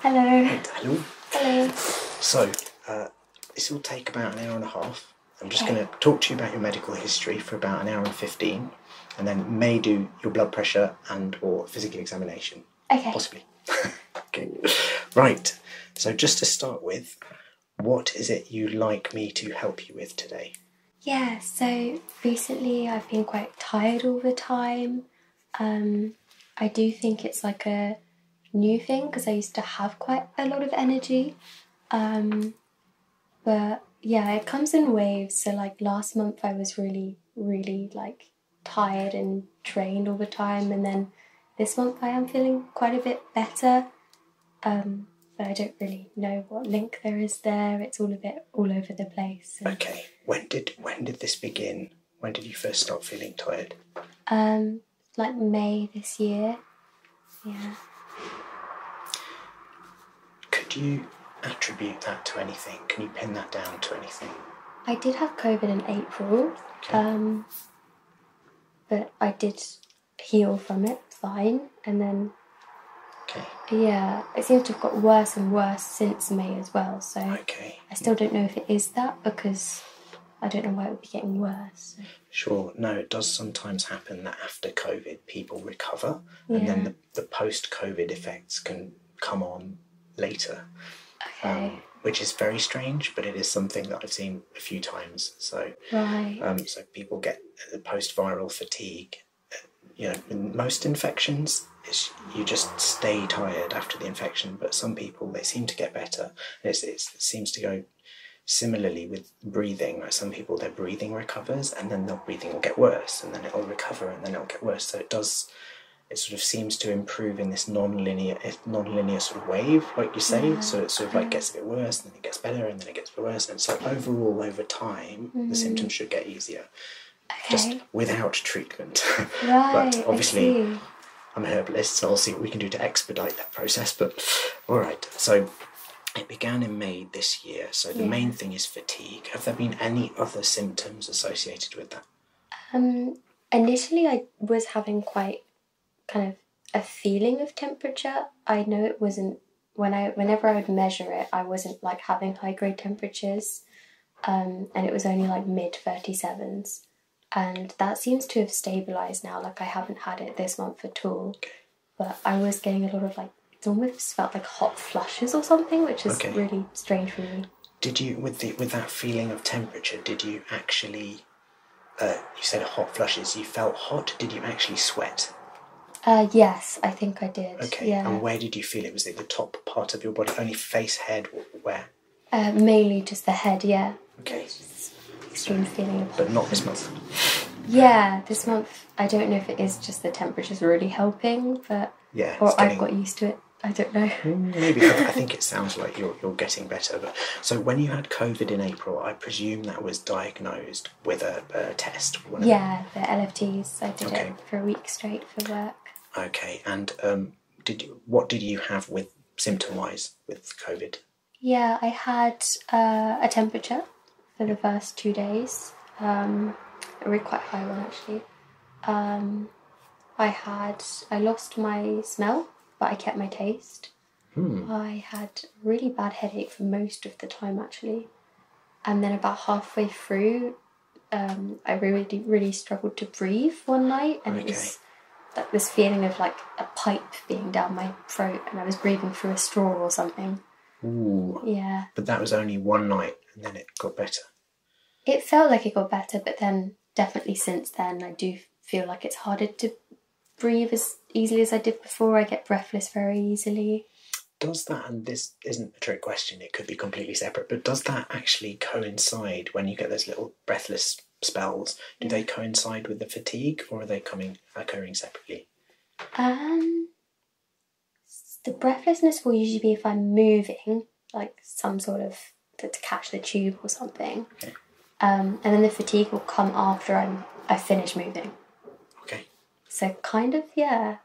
Hello. Hello. Hello. So, uh, this will take about an hour and a half. I'm just going to talk to you about your medical history for about an hour and 15 and then may do your blood pressure and or physical examination. Okay. Possibly. Right. So just to start with, what is it you'd like me to help you with today? Yeah, so recently I've been quite tired all the time. Um, I do think it's like a new thing because I used to have quite a lot of energy. Um, but yeah, it comes in waves. So like last month I was really, really like tired and drained all the time. And then this month I am feeling quite a bit better. Um, but I don't really know what link there is there. It's all a bit all over the place. Okay. When did when did this begin? When did you first start feeling tired? Um, like May this year. Yeah. Could you attribute that to anything? Can you pin that down to anything? I did have COVID in April, okay. um, but I did heal from it fine, and then yeah, it seems to have got worse and worse since May as well. So okay, I still don't know if it is that because I don't know why it would be getting worse. Sure, no, it does sometimes happen that after COVID people recover and then the, post COVID effects can come on later. Um, which is very strange, but it is something that I've seen a few times. So, um, so people get the post viral fatigue. Uh, you know, most infections you just stay tired after the infection. But some people they seem to get better. it seems to go similarly with breathing. Like some people their breathing recovers, and then their breathing will get worse, and then it'll recover, and then it'll get worse. So it does. It sort of seems to improve in this non-linear, sort of wave, like you say. Yeah. Mm-hmm. So it sort of like gets a bit worse, then it gets better, and then it gets worse. And so overall, over time, the mm-hmm. symptoms should get easier. Just without treatment. but obviously, I'm a herbalist, so I'll see what we can do to expedite that process. But all right, so it began in May this year. So the main thing is fatigue. Have there been any other symptoms associated with that? Um, initially, I was having quite kind of a feeling of temperature. I know it wasn't when I whenever I would measure it, I wasn't like having high grade temperatures. Um, and it was only like mid 37s. And that seems to have stabilized now. Like I haven't had it this month at all, but I was getting a lot of like it almost felt like hot flushes or something, which is really strange for me. Did you with the with that feeling of temperature? Did you actually? Uh, you said hot flushes. You felt hot. Did you actually sweat? Uh, yes, I think I did. Okay. Yeah. And where did you feel it? Was it the top part of your body? Only face, head, where? Uh, mainly just the head, yeah. Okay. Extreme feeling of But not this month. Yeah, this month I don't know if it is just the temperature's really helping, but yeah, or I've got used to it. I don't know. Mm, maybe I think it sounds like you're you're getting better. But so when you had COVID in April, I presume that was diagnosed with a, test. Yeah, the LFTs. I did it for a week straight for work. Okay, and um, did you, what did you have with symptom wise with COVID? Yeah, I had uh, a temperature for the first two days, um, a really quite high one actually. Um, I had I lost my smell, but I kept my taste. Hmm. I had really bad headache for most of the time actually, and then about halfway through, um, I really, really struggled to breathe one night, and it was like this feeling of like a pipe being down my throat, and I was breathing through a straw or something. Ooh. Yeah. But that was only one night, and then it got better. It felt like it got better, but then definitely since then, I do feel like it's harder to breathe as easily as I did before. I get breathless very easily. Does that, and this isn't a trick question it could be completely separate, but does that actually coincide when you get those little breathless spells? Do they coincide with the fatigue or are they coming occurring separately? Um the breathlessness will usually be if I'm moving, like some sort of to, catch the tube or something. Okay. Um, and then the fatigue will come after I'm I finish moving. Okay. So kind of yeah.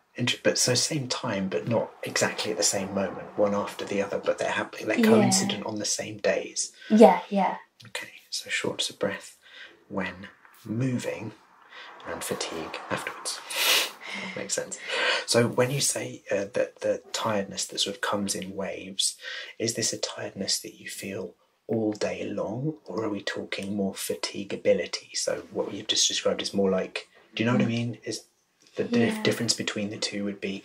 But so same time, but not exactly at the same moment, one after the other, but they're happening, they're coincident on the same days. Yeah, yeah. Okay, so shortness of breath when moving, and fatigue afterwards. makes sense. So when you say uh, that the tiredness that sort of comes in waves, is this a tiredness that you feel? all day long, or are we talking more fatigability? So what you've just described is more like, do you know what I mm. mean? Is the difference between the two would be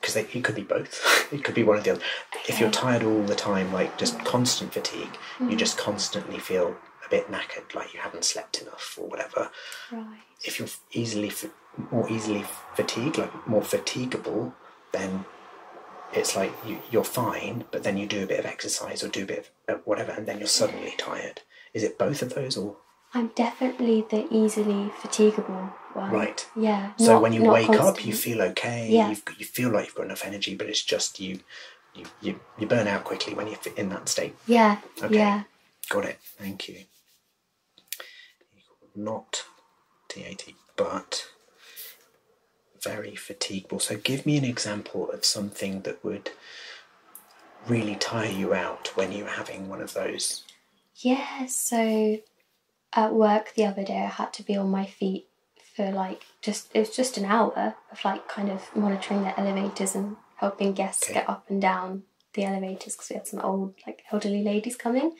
because it could be both. it could be one or the other. If you're tired all the time, like just constant fatigue, you mm-hmm. just constantly feel a bit knackered, like you haven't slept enough or whatever. If you're easily more easily fatigued, like more fatigable, then it's like you're fine, but then you do a bit of exercise or do a bit of uh, whatever, and then you're suddenly tired. Is it both of those or I'm definitely the easily fatigable one. Right. Yeah. So when you wake up, you feel okay. Yeah. you feel like you've got enough energy, but it's just you, you, you, burn out quickly when you're in that state. Yeah. Okay. Yeah. Got it. Thank you. Not TAT, but very fatigable. So give me an example of something that would really tire you out when you're having one of those yeah, so at work the other day I had to be on my feet for like just it was just an hour of like kind of monitoring the elevators and helping guests get up and down the elevators because we had some old like elderly ladies coming.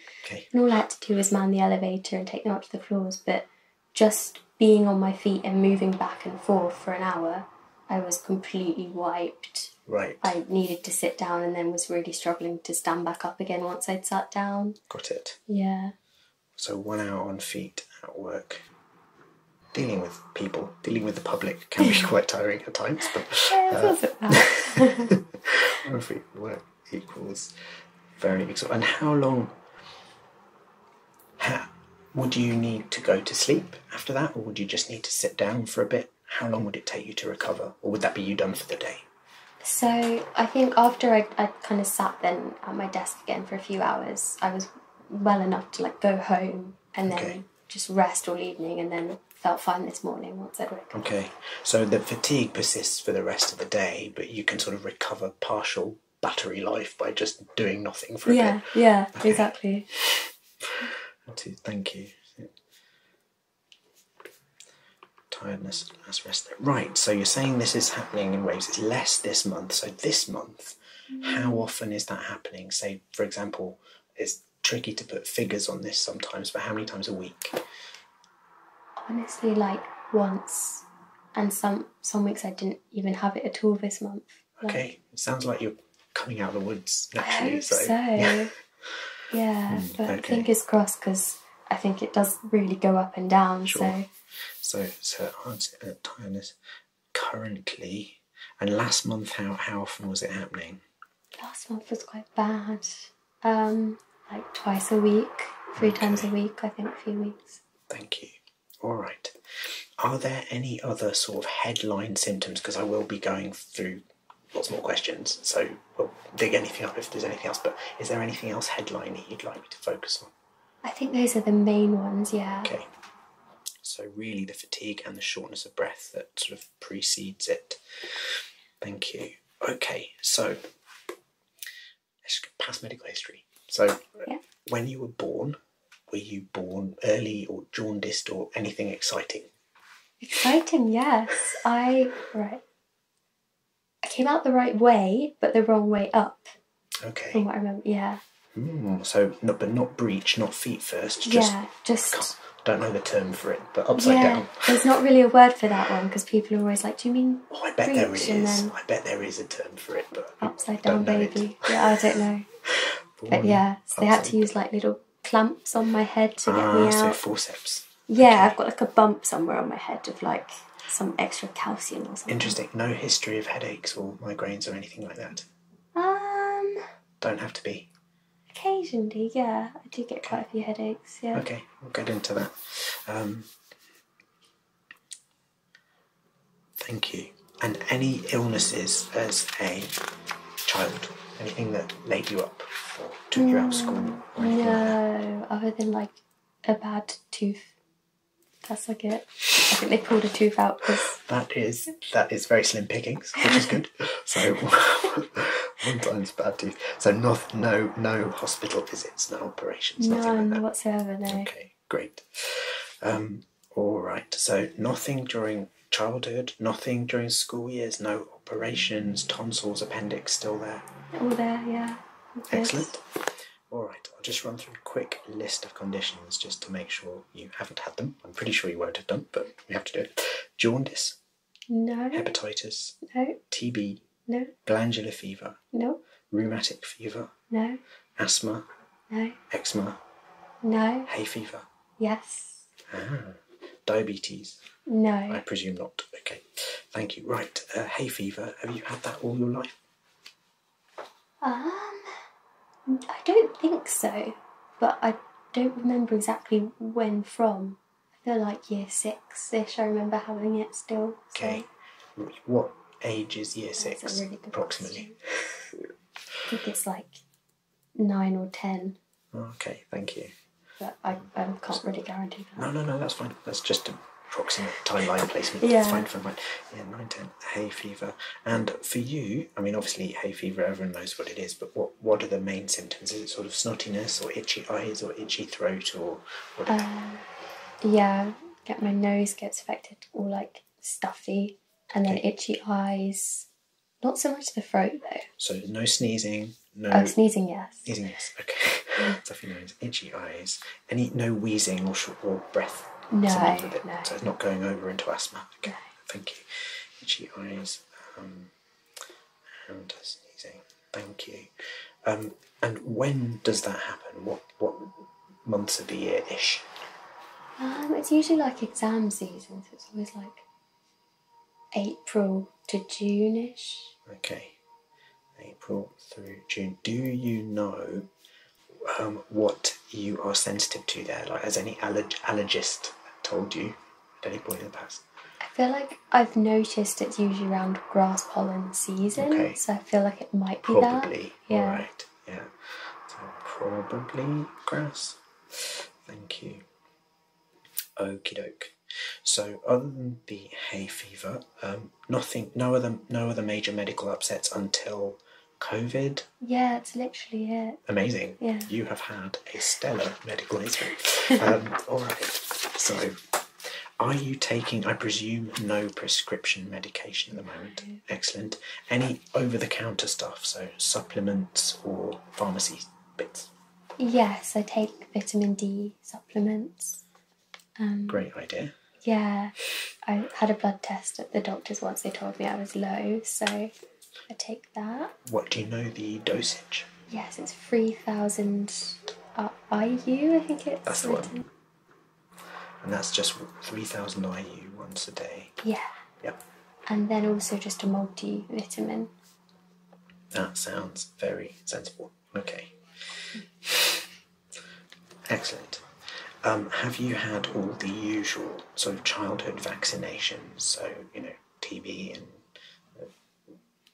And all I had to do was man the elevator and take them up to the floors, but just being on my feet and moving back and forth for an hour, I was completely wiped right. I needed to sit down and then was really struggling to stand back up again once I'd sat down. Got it. Yeah. So one hour on feet at work. Dealing with people, dealing with the public can be quite tiring at times, but yeah, uh, one feet work equals very exhausting. And how long? How, would you need to go to sleep after that, or would you just need to sit down for a bit how long would it take you to recover, or would that be you done for the day? So I think after I, kind of sat then at my desk again for a few hours, I was well enough to like go home and then just rest all evening, and then felt fine this morning once I'd recovered. Okay, so the fatigue persists for the rest of the day, but you can sort of recover partial battery life by just doing nothing for a yeah, bit. Yeah, yeah, exactly. Thank you. Tiredness and last rest. Right, so you're saying this is happening in waves. It's less this month. So this month, how often is that happening? Say, for example, it's tricky to put figures on this sometimes, but how many times a week? Honestly, like once. And some some weeks I didn't even have it at all this month. okay, sounds like you're coming out of the woods naturally. I hope so, yeah, yeah mm, but okay. fingers crossed because I think it does really go up and down. Sure. So, so, so uh, tiredness currently, and last month, how how often was it happening? Last month was quite bad. Um, like twice a week, three times a week, I think, a few weeks. Thank you. All right. Are there any other sort of headline symptoms? Because I will be going through lots more questions. So we'll dig anything up if there's anything else. But is there anything else headline you'd like me to focus on? I think those are the main ones, yeah. Okay. So really the fatigue and the shortness of breath that sort of precedes it. Thank you. Okay, so let's go past medical history. So when you were born, were you born early or jaundiced or anything exciting? Exciting, yes. I right. I came out the right way, but the wrong way up. Okay. From what I remember, yeah. Hmm, so, not, but not breach, not feet first. Just, yeah, just. Don't know the term for it, but upside down. There's not really a word for that one because people are always like, "Do you mean?" Oh, I bet there is. I bet there is a term for it, but upside down baby. yeah, I don't know. but yeah, so they had to use like little Clumps on my head ah, so forceps. Yeah, I've got like a bump somewhere on my head of like some extra calcium or something. Interesting. No history of headaches or migraines or anything like that. Um. Don't have to be. Occasionally, yeah, I do get quite a few headaches. Yeah. Okay, we'll get into that. Um, thank you. And any illnesses as a child? Anything that made you to grab school? no, other than like a bad tooth. That's like it. I think they pulled a tooth out that is that is very slim pickings, which is good. so one time's bad tooth. So not no no hospital visits, no operations, none whatsoever. No. Okay, great. Um, all right. So nothing during childhood, nothing during school years, no operations, tonsils, appendix still there. All there, yeah. Excellent. All right, I'll just run through a quick list of conditions just to make sure you haven't had them. I'm pretty sure you won't have done, but we have to do it. Jaundice. No. Hepatitis. No. TB. No. Glandular fever. No. Rheumatic fever. No. Asthma. No. Eczema. No. Hay fever. Yes. Ah. Diabetes. No. I presume not. Okay. Thank you. Right. Uh, hay fever. Have you had that all your life? Um, I don't think so, but I don't remember exactly when from. I feel like year six ish. I remember having it still. Okay. What age is year six? approximately. I think it's like nine or ten. Okay, thank you. But I, can't really guarantee that. No, no, no, that's fine. That's just a proxy timeline placement. Yeah. That's fine, fine, fine. Yeah, 9, hay fever. And for you, I mean, obviously, hay fever, everyone knows what it is, but what, what are the main symptoms? Is it sort of snottiness or itchy eyes or itchy throat or um, yeah, get my nose gets affected All like stuffy and then itchy eyes. Not so much the throat though. So no sneezing, no. Uh, sneezing, yes. Sneezing, yes. Okay. Stuffy nose, itchy eyes. Any no wheezing or short or breath. No, no. So it's not going over into asthma. Okay. Thank you. Itchy eyes um, and sneezing. Thank you. Um, and when does that happen? What what months of the year ish? Um, it's usually like exam season, so it's always like April to Juneish. Okay, April through June. Do you know um, what you are sensitive to there? Like, has any allergist told you at any point in the past? I feel like I've noticed it's usually around grass pollen season, okay. so I feel like it might be probably. that. Yeah. Yeah. So probably grass. Thank you. Okie doke. So other than the hay fever, um, nothing, no other, no other major medical upsets until COVID. Yeah, it's literally it. Amazing. Yeah. You have had a stellar medical history. Um, all right. So, are you taking, I presume, no prescription medication at the moment? Excellent. Any over the counter stuff, so supplements or pharmacy bits? Yes, I take vitamin D supplements. Um, Great idea. Yeah, I had a blood test at the doctor's once. They told me I was low, so I take that. What do you know the dosage? Yes, it's 3,000 uh, IU, I think it's. That's the one. And that's just 3,000 IU once a day. Yeah. Yep. And then also just a multivitamin. That sounds very sensible. Okay. Excellent. Um, have you had all the usual sort of childhood vaccinations? So, you know, TB and uh,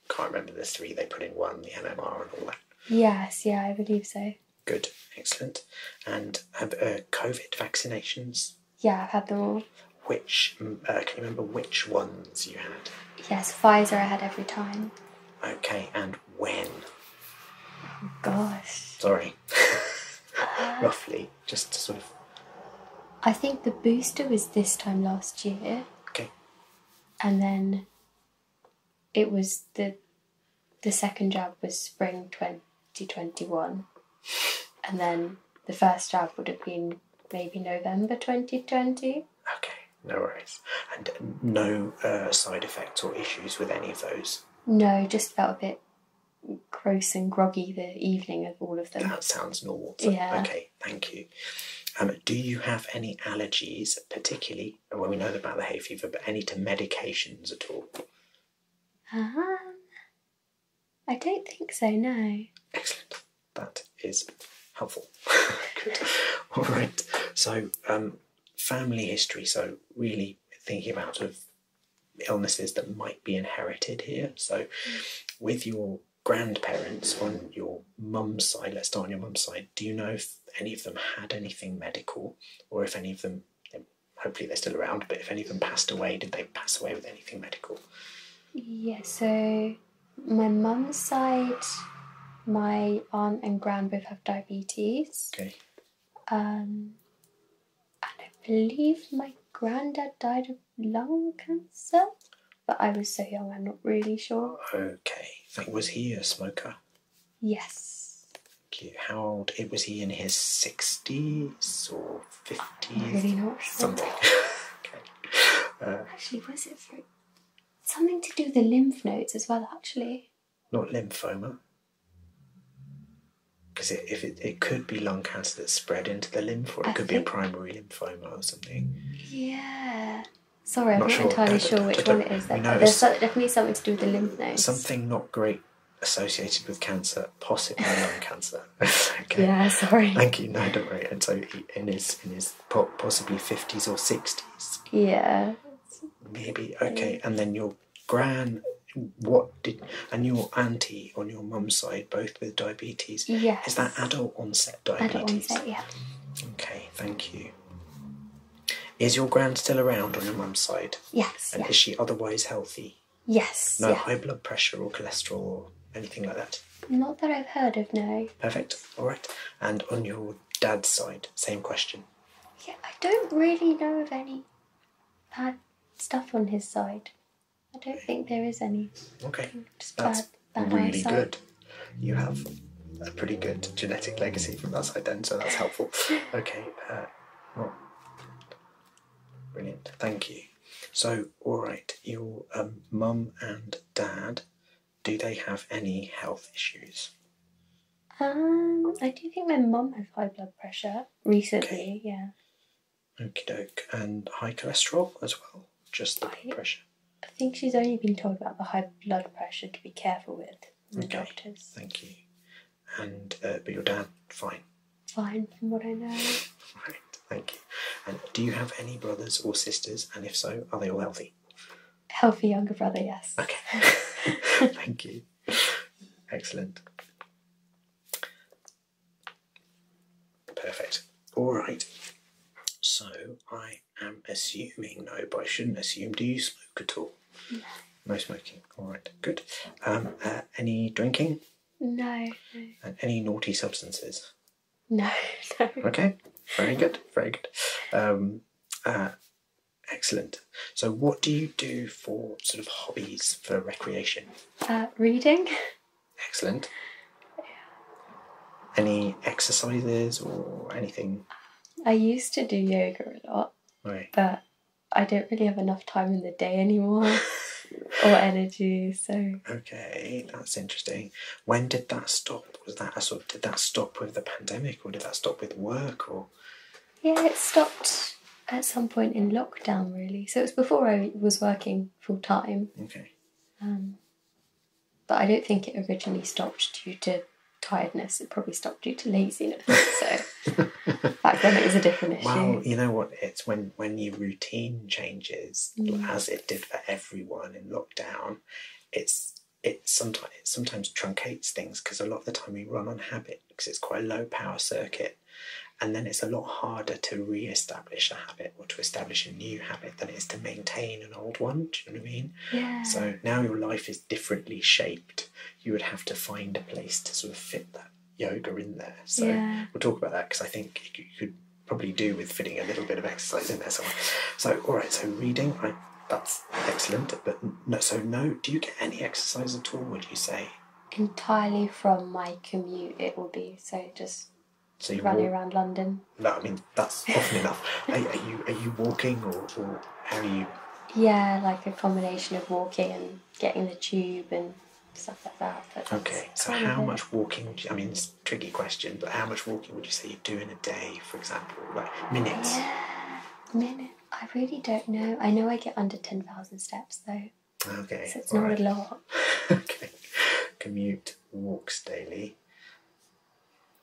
can't remember the three they put in one, the MMR and all that. Yes, yeah, I believe so. Good, excellent. And have uh, COVID vaccinations? Yeah, I've had them all. Which, uh, can you remember which ones you had? Yes, Pfizer I had every time. Okay, and when? Oh, gosh. Sorry. Uh, Roughly, just to sort of. I think the booster was this time last year. Okay. And then it was the the second jab was spring 2021. And then the first jab would have been maybe November 2020. Okay, no worries. And no uh, side effects or issues with any of those? No, just felt a bit gross and groggy the evening of all of them. That sounds normal. yeah. Okay, thank you. Um, do you have any allergies, particularly, when we know about the hay fever, but any to medications at all? Um, I don't think so, no. Excellent. That is helpful. All right. So, um, family history. So, really thinking about of illnesses that might be inherited here. So, with your grandparents on your mum's side, let's start on your mum's side, do you know if any of them had anything medical or if any of them, hopefully they're still around, but if any of them passed away, did they pass away with anything medical? Yeah, so my mum's side, my aunt and grand both have diabetes. Um, and I believe my granddad died of lung cancer, but I was so young, I'm not really sure. Okay. was he a smoker? Yes. Okay. How old? It was he in his sixties or fifties? Really not sure. Something. okay. Uh, actually, was it for something to do with the lymph nodes as well? Actually, not lymphoma, because if it, it could be lung cancer that's spread into the lymph, or it could be a primary lymphoma or something. Yeah. Sorry, I'm not, entirely uh, sure which one it is. There's definitely something to do with the lymph nodes. Something not great associated with cancer, possibly lung cancer. okay. Yeah, sorry. Thank you. No, don't worry. And so he, in his in his possibly fifties or sixties. Yeah. Maybe okay, and then your grand, What did and your auntie on your mum's side both with diabetes? Yes. Is that adult onset diabetes? Adult onset, yeah. Okay, thank you. Is your grand still around on your mum's side? Yes. And is she otherwise healthy? Yes. No high blood pressure or cholesterol or anything like that? Not that I've heard of, no. Perfect. All right. And on your dad's side, same question. Yeah, I don't really know of any bad stuff on his side. I don't think there is any. Okay. That's really good. You have a pretty good genetic legacy from that side then, so that's helpful. okay. Uh, brilliant. Thank you. So, all right, your um, mum and dad, do they have any health issues? Um, I do think my mum has high blood pressure recently. Yeah. Okie doke, and high cholesterol as well. Just the blood pressure. I think she's only been told about the high blood pressure to be careful with the doctors. Thank you. And uh, but your dad, fine. Fine, from what I know. right. Thank you. And do you have any brothers or sisters? And if so, are they all healthy? Healthy younger brother, yes. Okay. Thank you. Excellent. Perfect. All right. So I am assuming no, but I shouldn't assume. Do you smoke at all? No. No smoking. All right. Good. Um, uh, any drinking? No, no. And any naughty substances? No, Okay, very good, very good. Um, uh, excellent. So, what do you do for sort of hobbies for recreation? Uh, reading. Excellent. Any exercises or anything? I used to do yoga a lot, but I don't really have enough time in the day anymore or energy. So okay, that's interesting. When did that stop? Was that a sort of, did that stop with the pandemic, or did that stop with work, or? Yeah, it stopped at some point in lockdown, really. So it was before I was working full time. Okay. Um, but I don't think it originally stopped due to tiredness. It probably stopped due to laziness. So back then it was a different issue. Well, you know what? It's when when your routine changes, mm. as it did for everyone in lockdown, it's it sometimes it sometimes truncates things because a lot of the time we run on habit because it's quite a low power circuit, and then it's a lot harder to re-establish a habit or to establish a new habit than it is to maintain an old one. Do you know what I mean? Yeah. So now your life is differently shaped. You would have to find a place to sort of fit that yoga in there. So we'll talk about that because I think you could probably do with fitting a little bit of exercise in there somewhere. So, all right, so reading, right, that's excellent. But no, so no, do you get any exercise at all, would you say? Entirely from my commute, it will be. So just so you are running around London. No, I mean, that's often enough. Are, you, are you walking or, or how are you? Yeah, like a combination of walking and getting the tube and stuff like that. okay, so how much walking? I mean, tricky question, but how much walking would you say you do in a day, for example? Like minutes? Minute. I really don't know. I know I get under 10,000 steps though. Okay. So it's not a lot. okay. Commute walks daily.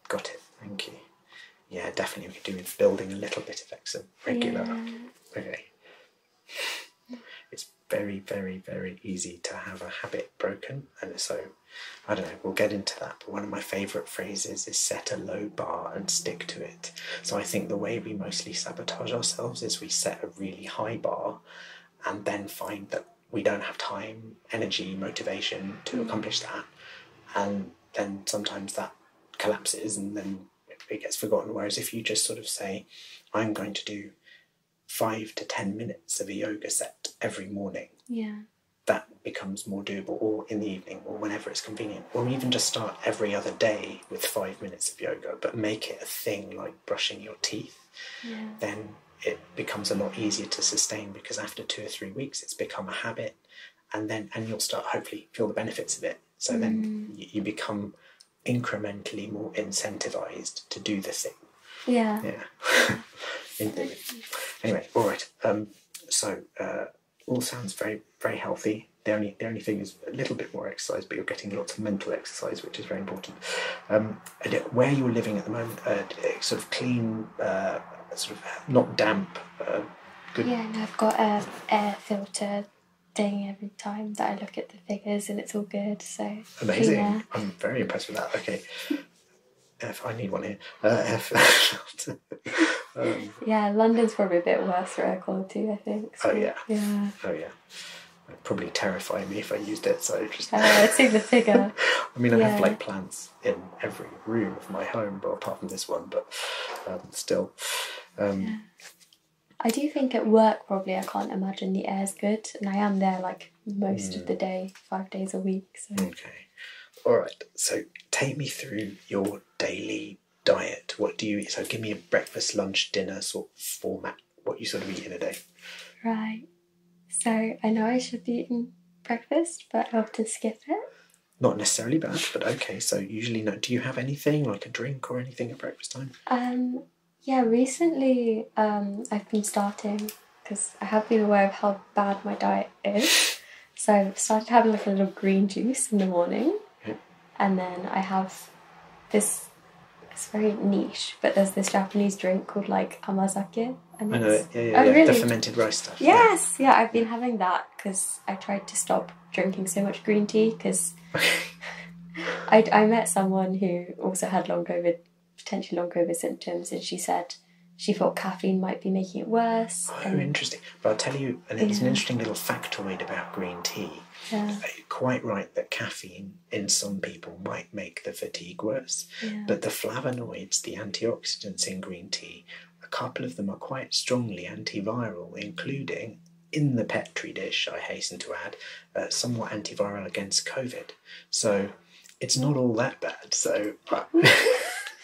Got it. Thank you. Yeah, definitely we could do with building a little bit of extra regular. Yeah. Okay. It's very, very, very easy to have a habit broken, and so I don't know, we'll get into that. But one of my favourite phrases is set a low bar and stick to it. So I think the way we mostly sabotage ourselves is we set a really high bar and then find that we don't have time, energy, motivation to mm. accomplish that. And then sometimes that collapses and then it gets forgotten. Whereas if you just sort of say, I'm going to do five to ten minutes of a yoga set every morning. Yeah. That becomes more doable, or in the evening, or whenever it's convenient, or even just start every other day with five minutes of yoga, but make it a thing like brushing your teeth. Then it becomes a lot easier to sustain because after two or three weeks, it's become a habit, and then and you'll start hopefully feel the benefits of it. So then mm. you become incrementally more incentivized to do the thing yeah. Yeah. anyway, all right. Um, so uh, all sounds very very healthy. The only the only thing is a little bit more exercise, but you're getting lots of mental exercise, which is very important. Um, where you're living at the moment, uh, uh, sort of clean, sort of not damp. good. Yeah, and I've got a air filter thing every time that I look at the figures, and it's all good. So amazing! I'm very impressed with that. Okay. F, I need one here. Uh, F. Um, yeah, London's probably a bit worse for air quality, I think. So. oh yeah. Yeah. Oh yeah. would probably terrify me if I used it. So just. Uh, I see the figure. I mean, I have like plants in every room of my home, apart from this one, but um, still. Um, yeah. I do think at work probably I can't imagine the air's good, and I am there like most of mm. the day, five days a week. Okay. All right. So take me through your daily diet. What do you eat? So give me a breakfast, lunch, dinner sort of format. What you sort of eat in a day. Right. So I know I should be eating breakfast, but I often skip it. Not necessarily bad, but okay. So usually, no. Do you have anything like a drink or anything at breakfast time? Um. Yeah. Recently, um, I've been starting because I have been aware of how bad my diet is. So I started having like a little green juice in the morning, and then I have this. It's very niche, but there's this Japanese drink called like amazake. And I know it. oh, Really? The fermented rice stuff. Yes, yeah. yeah I've been having that because I tried to stop drinking so much green tea because I, I met someone who also had long COVID potentially long COVID symptoms, and she said she thought caffeine might be making it worse. Oh, interesting. But I'll tell you, and it's an interesting little factoid about green tea. Uh, quite right that caffeine in some people might make the fatigue worse, but the flavonoids, the antioxidants in green tea, a couple of them are quite strongly antiviral, including in the Petri dish, I hasten to add, uh, somewhat antiviral against COVID. So it's not all that bad. So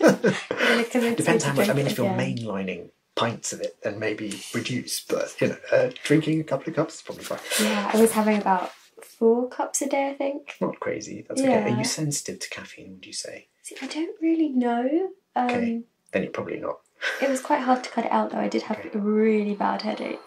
depends how much. I mean, if you're mainlining pints of it, then maybe reduce. But you know, uh, drinking a couple of cups is probably fine. Yeah, I was having about four cups a day. I think. Not crazy. That's okay. Are you sensitive to caffeine? Would you say? See, I don't really know. okay, um, then you're probably not. It was quite hard to cut it out, though. I did have a really bad headache.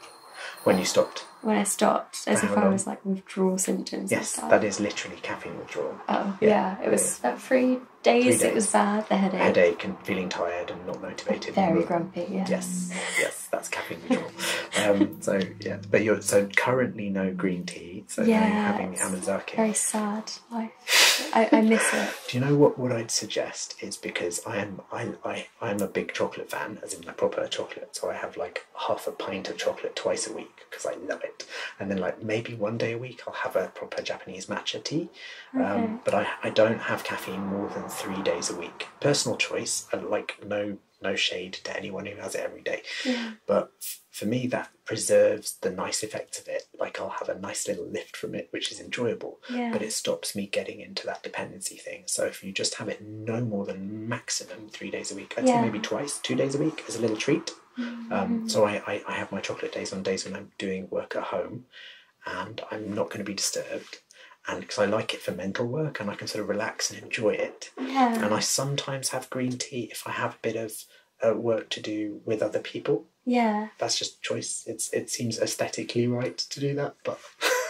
When you stopped? When I stopped, as if I was like withdrawal symptoms. Yes, that is literally caffeine withdrawal. Oh, yeah. it was yeah. three, days, it was bad, the headache. Headache and feeling tired and not motivated. Very grumpy, yeah. Yes, yes, that's caffeine withdrawal. Um, so, yeah, but you're so currently no green tea, so yeah, having amazake. Very sad I, I miss it. Do you know what, what I'd suggest is because I am I, I, I'm a big chocolate fan, as in the proper chocolate, so I have like half a pint of chocolate twice a week because I love it. And then like maybe one day a week I'll have a proper Japanese matcha tea. Um, but I, I don't have caffeine more than three days a week. Personal choice. I like no no shade to anyone who has it every day. But for me, that preserves the nice effects of it. Like I'll have a nice little lift from it, which is enjoyable, but it stops me getting into that dependency thing. So if you just have it no more than maximum three days a week. I'd maybe twice, two days a week as a little treat. Um, mm. so I, I, have my chocolate days on days when I'm doing work at home and I'm not going to be disturbed. And because I like it for mental work and I can sort of relax and enjoy it. And I sometimes have green tea if I have a bit of uh, work to do with other people. Yeah. That's just choice. It's It seems aesthetically right to do that. But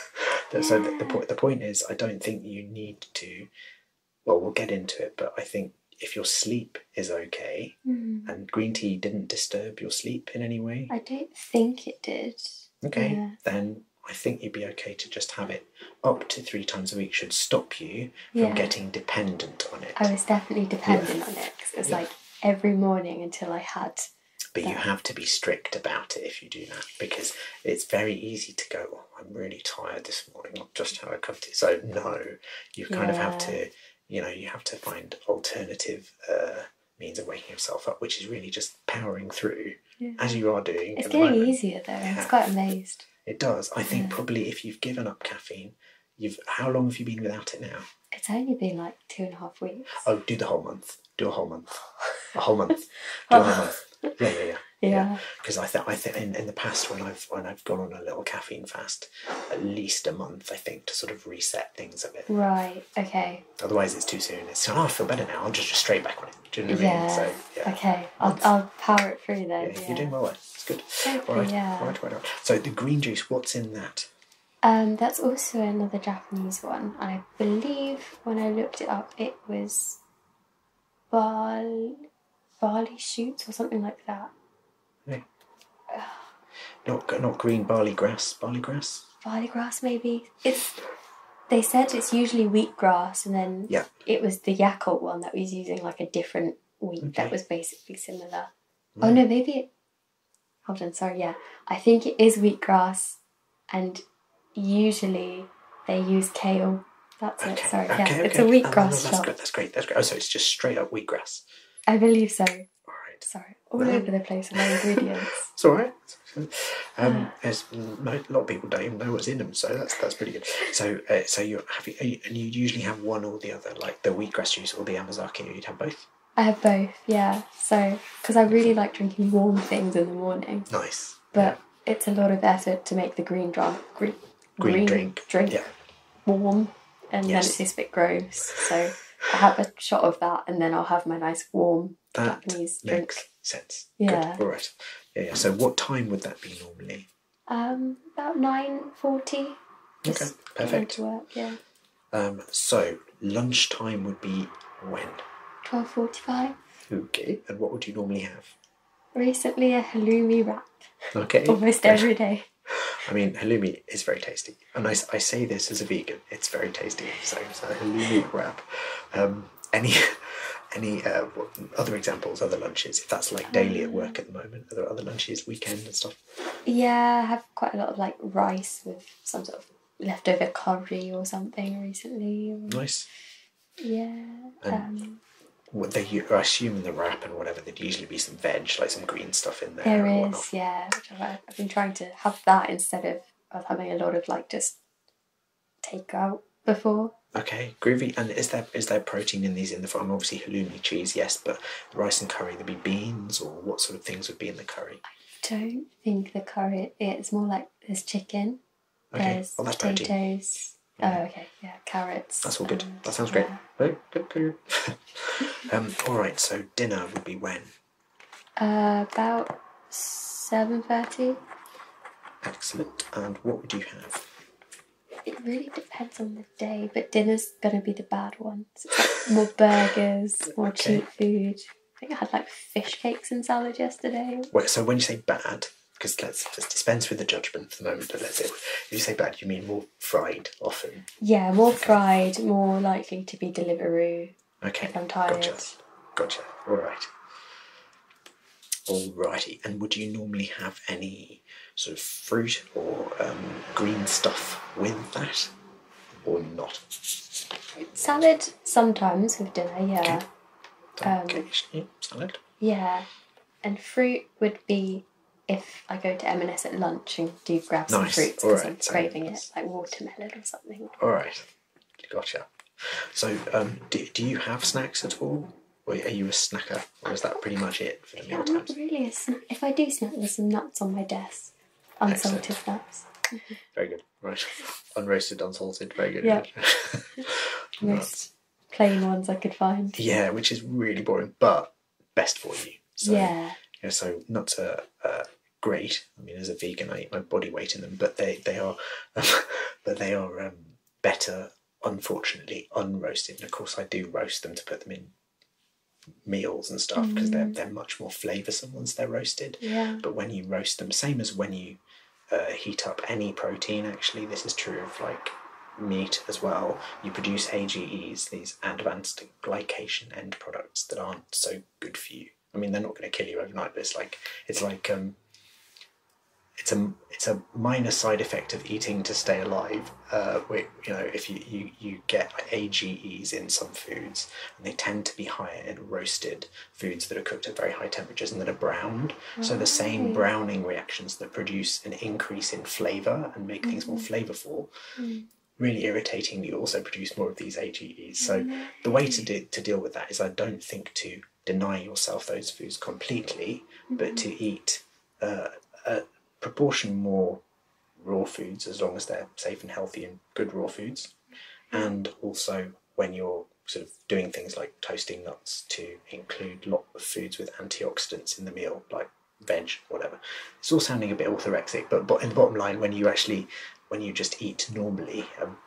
so the, the, the point is, I don't think you need to well, we'll get into it, but I think if your sleep is okay mm-hmm. and green tea didn't disturb your sleep in any way. I don't think it did. Okay, then I think you'd be okay to just have it up to three times a week should stop you from getting dependent on it. I was definitely dependent on it because it like every morning until I had. But you have to be strict about it if you do that because it's very easy to go, I'm really tired this morning, I'll just have a cup of tea. So no, you kind of have to, you know, you have to find alternative uh, means of waking yourself up, which is really just powering through as you are doing. It's getting easier though. i It's quite amazed. It does. I think probably if you've given up caffeine, you've how long have you been without it now? It's only been like two and a half weeks. Oh, do the whole month. Do a whole month. A whole month. do a whole month yeah, yeah, yeah. Yeah. Because I think I think in, the past when I've when I've gone on a little caffeine fast, at least a month I think to sort of reset things a bit. Right. Okay. Otherwise, it's too soon. It's oh, I feel better now. I'll just, straight back on it. Do you know what I mean? yeah. Okay. I'll, power it through then. You're doing well. It's good. Hopefully, all right. Right. Right. So the green juice. What's in that? Um, that's also another Japanese one, I believe when I looked it up, it was barley, barley shoots or something like that. Hmm. Not not green barley grass. Barley grass. Barley grass, maybe. It's. They said it's usually wheat grass, and then yeah. it was the Yakult one that was using like a different wheat that was basically similar. Hmm. Oh no, maybe it. Hold on, sorry. Yeah, I think it is wheat grass, and usually they use kale. That's it. Sorry, yeah, it's a wheatgrass oh, that's shot. That's great. That's great. Oh, so it's just straight up wheatgrass. I believe so. All right. Sorry, all over the place with my ingredients. it's all right. Um, a lot of people don't even know what's in them, so that's that's pretty good. So, uh, so you're you, and you usually have one or the other, like the wheatgrass juice or the amazaki. You'd have both. I have both, yeah. So, because I really like drinking warm things in the morning. Nice but it's a lot of effort to make the green drink, green, drink, warm, and yes. then it tastes a bit gross. So I have a shot of that, and then I'll have my nice warm Japanese drink. Sense. Yeah. Good. All right. Yeah, yeah. So what time would that be normally? Um, about nine forty. Okay. Perfect. To work. Yeah. Um, so lunchtime would be when? Twelve forty-five. Okay. And what would you normally have? Recently, a halloumi wrap. Okay. Almost every day. I mean, halloumi is very tasty, and I, I say this as a vegan. It's very tasty. So, halloumi wrap. Um, any any uh, other examples, other lunches? If that's like daily at work at the moment, are other lunches, weekend and stuff? Yeah, I have quite a lot of like rice with some sort of leftover curry or something recently. Nice. Yeah. and um, they are assuming the wrap and whatever there'd usually be some veg, like some green stuff in there. There is, yeah. I've, been trying to have that instead of, of having a lot of like just takeout before. Okay, groovy. And is there is there protein in these in the farm? Obviously, halloumi cheese, yes, but rice and curry, there'd be beans or what sort of things would be in the curry? I don't think the curry. It's more like there's chicken. Okay. oh, that's potatoes. Oh, okay. Yeah, carrots. That's all good. that sounds great. Oh, um, all right. So dinner would be when? Uh, about seven thirty. Excellent. And what would you have? It really depends on the day, but dinner's going to be the bad one. more burgers, more cheap food. I think I had like fish cakes and salad yesterday. Wait, so when you say bad, because let's just dispense with the judgment for the moment. But let's say, if you say bad, you mean more fried often. Yeah, more fried, more likely to be delivery. Okay. I'm tired. Gotcha. Gotcha. All right. righty. And would you normally have any sort of fruit or um, green stuff with that, or not? Salad sometimes with dinner. Yeah. Um, salad. Yeah. And fruit would be if I go to M&S at lunch and do grab some nice. fruits because right. I'm craving it, like watermelon or something. All right, gotcha. So, um, do, do you have snacks at all? Or are you a snacker, or is that pretty much it for the meal times? Not really. if I do snack, there's some nuts on my desk, unsalted nuts. Very good. Right, unroasted, unsalted. Very good. Yeah. Nuts plain ones I could find. Yeah, which is really boring, but best for you. So, yeah. So not to great. I mean, as a vegan, I eat my body weight in them, but they they are, but they are um, better. Unfortunately, unroasted. And of course, I do roast them to put them in meals and stuff because they're mm. they're much more flavoursome once they're roasted. Yeah. But when you roast them, same as when you uh, heat up any protein, actually. This is true of like meat as well. You produce AGEs, these advanced glycation end products that aren't so good for you. I mean, they're not going to kill you overnight, but it's like it's like um, it's a it's a minor side effect of eating to stay alive. Uh, you know, if you, you you get AGEs in some foods, and they tend to be higher in roasted foods that are cooked at very high temperatures and that are browned. So the oh, same browning reactions that produce an increase in flavour and make things more mm-hmm. flavourful. Mm. Really irritatingly, also produce more of these AGEs. So, mm-hmm. the way to, deal with that is I don't think to deny yourself those foods completely, but to mm-hmm. eat uh, a proportion more raw foods as long as they're safe and healthy and good raw foods. And also, when you're sort of doing things like toasting nuts to include lots of foods with antioxidants in the meal, like veg, whatever. It's all sounding a bit orthorexic, but, but in the bottom line, when you actually, when you just eat normally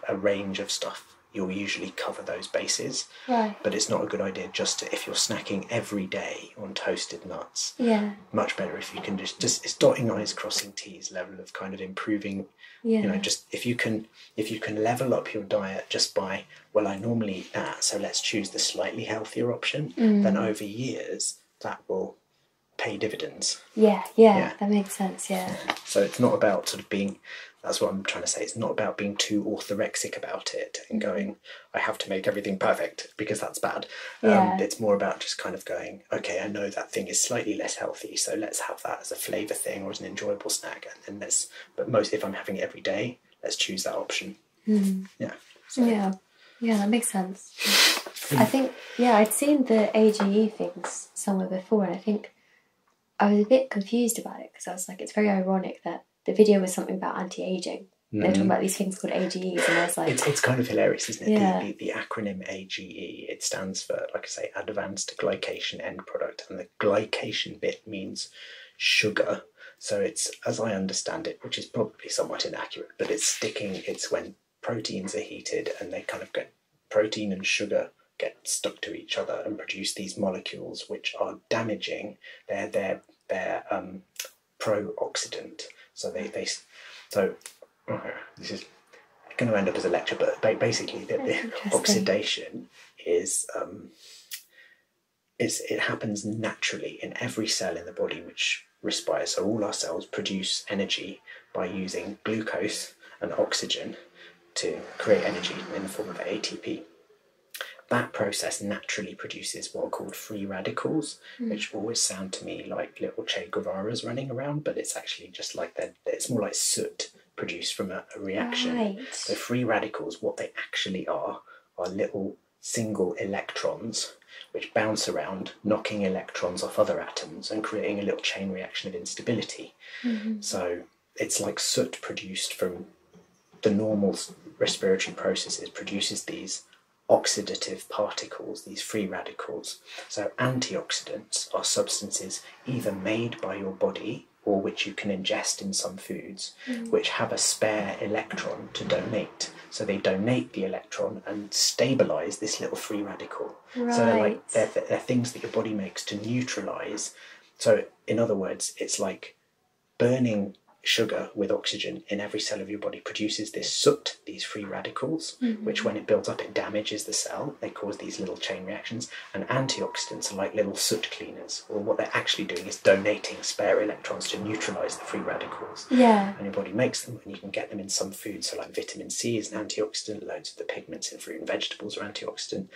a, range of stuff, you'll usually cover those bases. Right. But it's not a good idea just to, if you're snacking every day on toasted nuts. Yeah. Much better if you can just, just it's dotting eyes crossing T's level of kind of improving, yeah. you know, just if you can if you can level up your diet just by well I normally eat that so let's choose the slightly healthier option mm. then over years that will pay dividends. Yeah, yeah, that makes sense. Yeah. So it's not about sort of being. That's what I'm trying to say. It's not about being too orthorexic about it and mm-hmm. going, I have to make everything perfect because that's bad. Um, yeah. it's more about just kind of going, okay, I know that thing is slightly less healthy, so let's have that as a flavour thing or as an enjoyable snack. And then let's, but most, if I'm having it every day, let's choose that option. Mm-hmm. Yeah. Yeah. Yeah, that makes sense. Mm. I think, yeah, I'd seen the AGE things somewhere before, and I think I was a bit confused about it because I was like, it's very ironic that the video was something about anti aging. They're talking mm. about these things called AGEs, and I was like, it's, kind of hilarious, isn't it? Yeah. The, the acronym AGE it stands for, like I say, Advanced Glycation End Product, and the the glycation bit means sugar. So it's, as I understand it, which is probably somewhat inaccurate, but it's sticking, it's when proteins are heated and they kind of get protein and sugar get stuck to each other and produce these molecules which are damaging they're their um, pro-oxidant. So they they so this is going to end up as a lecture, but basically the, the oxidation is um, it happens naturally in every cell in the body which respires. So all our cells produce energy by using glucose and oxygen to create energy in the form of ATP. That process naturally produces what are called free radicals, hmm. which always sound to me like little Che Guevara's running around, but it's actually just like that. It's more like soot produced from a a, reaction. Right. So free radicals, what they actually are, are little single electrons which bounce around, knocking electrons off other atoms and creating a little chain reaction of instability. Mm-hmm. So it's like soot produced from the normal respiratory processes produces these oxidative particles, these free radicals. So antioxidants are substances either made by your body or which you can ingest in some foods, mm. which have a spare electron to donate. So they donate the electron and stabilize this little free radical. So they're like they're, things that your body makes to neutralize. So in other words, it's like burning sugar with oxygen in every cell of your body produces this soot, these free radicals, mm-hmm. which when it builds up, it damages the cell. They cause these little chain reactions, and antioxidants are like little soot cleaners. Or what they're actually doing is donating spare electrons to neutralize the free radicals. Yeah. And your body makes them, and you can get them in some food. So, like vitamin C is an antioxidant, loads of the pigments in fruit and vegetables are antioxidant.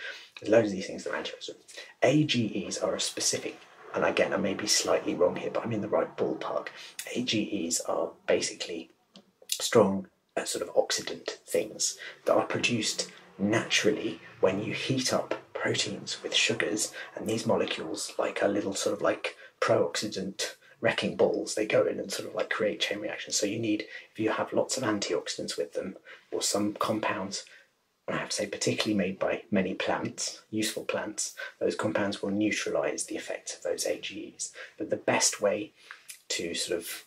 loads of these things that are antioxidant. AGEs are a specific and again, I may be slightly wrong here, but I'm in the right ballpark. AGEs are basically strong uh, sort of oxidant things that are produced naturally when you heat up proteins with sugars and these molecules like a little sort of like pro-oxidant wrecking balls they go in and sort of like create chain reactions so you need if you have lots of antioxidants with them or some compounds I have to say, particularly made by many plants, useful plants, those compounds will neutralize the effects of those AGEs. But the best way to sort of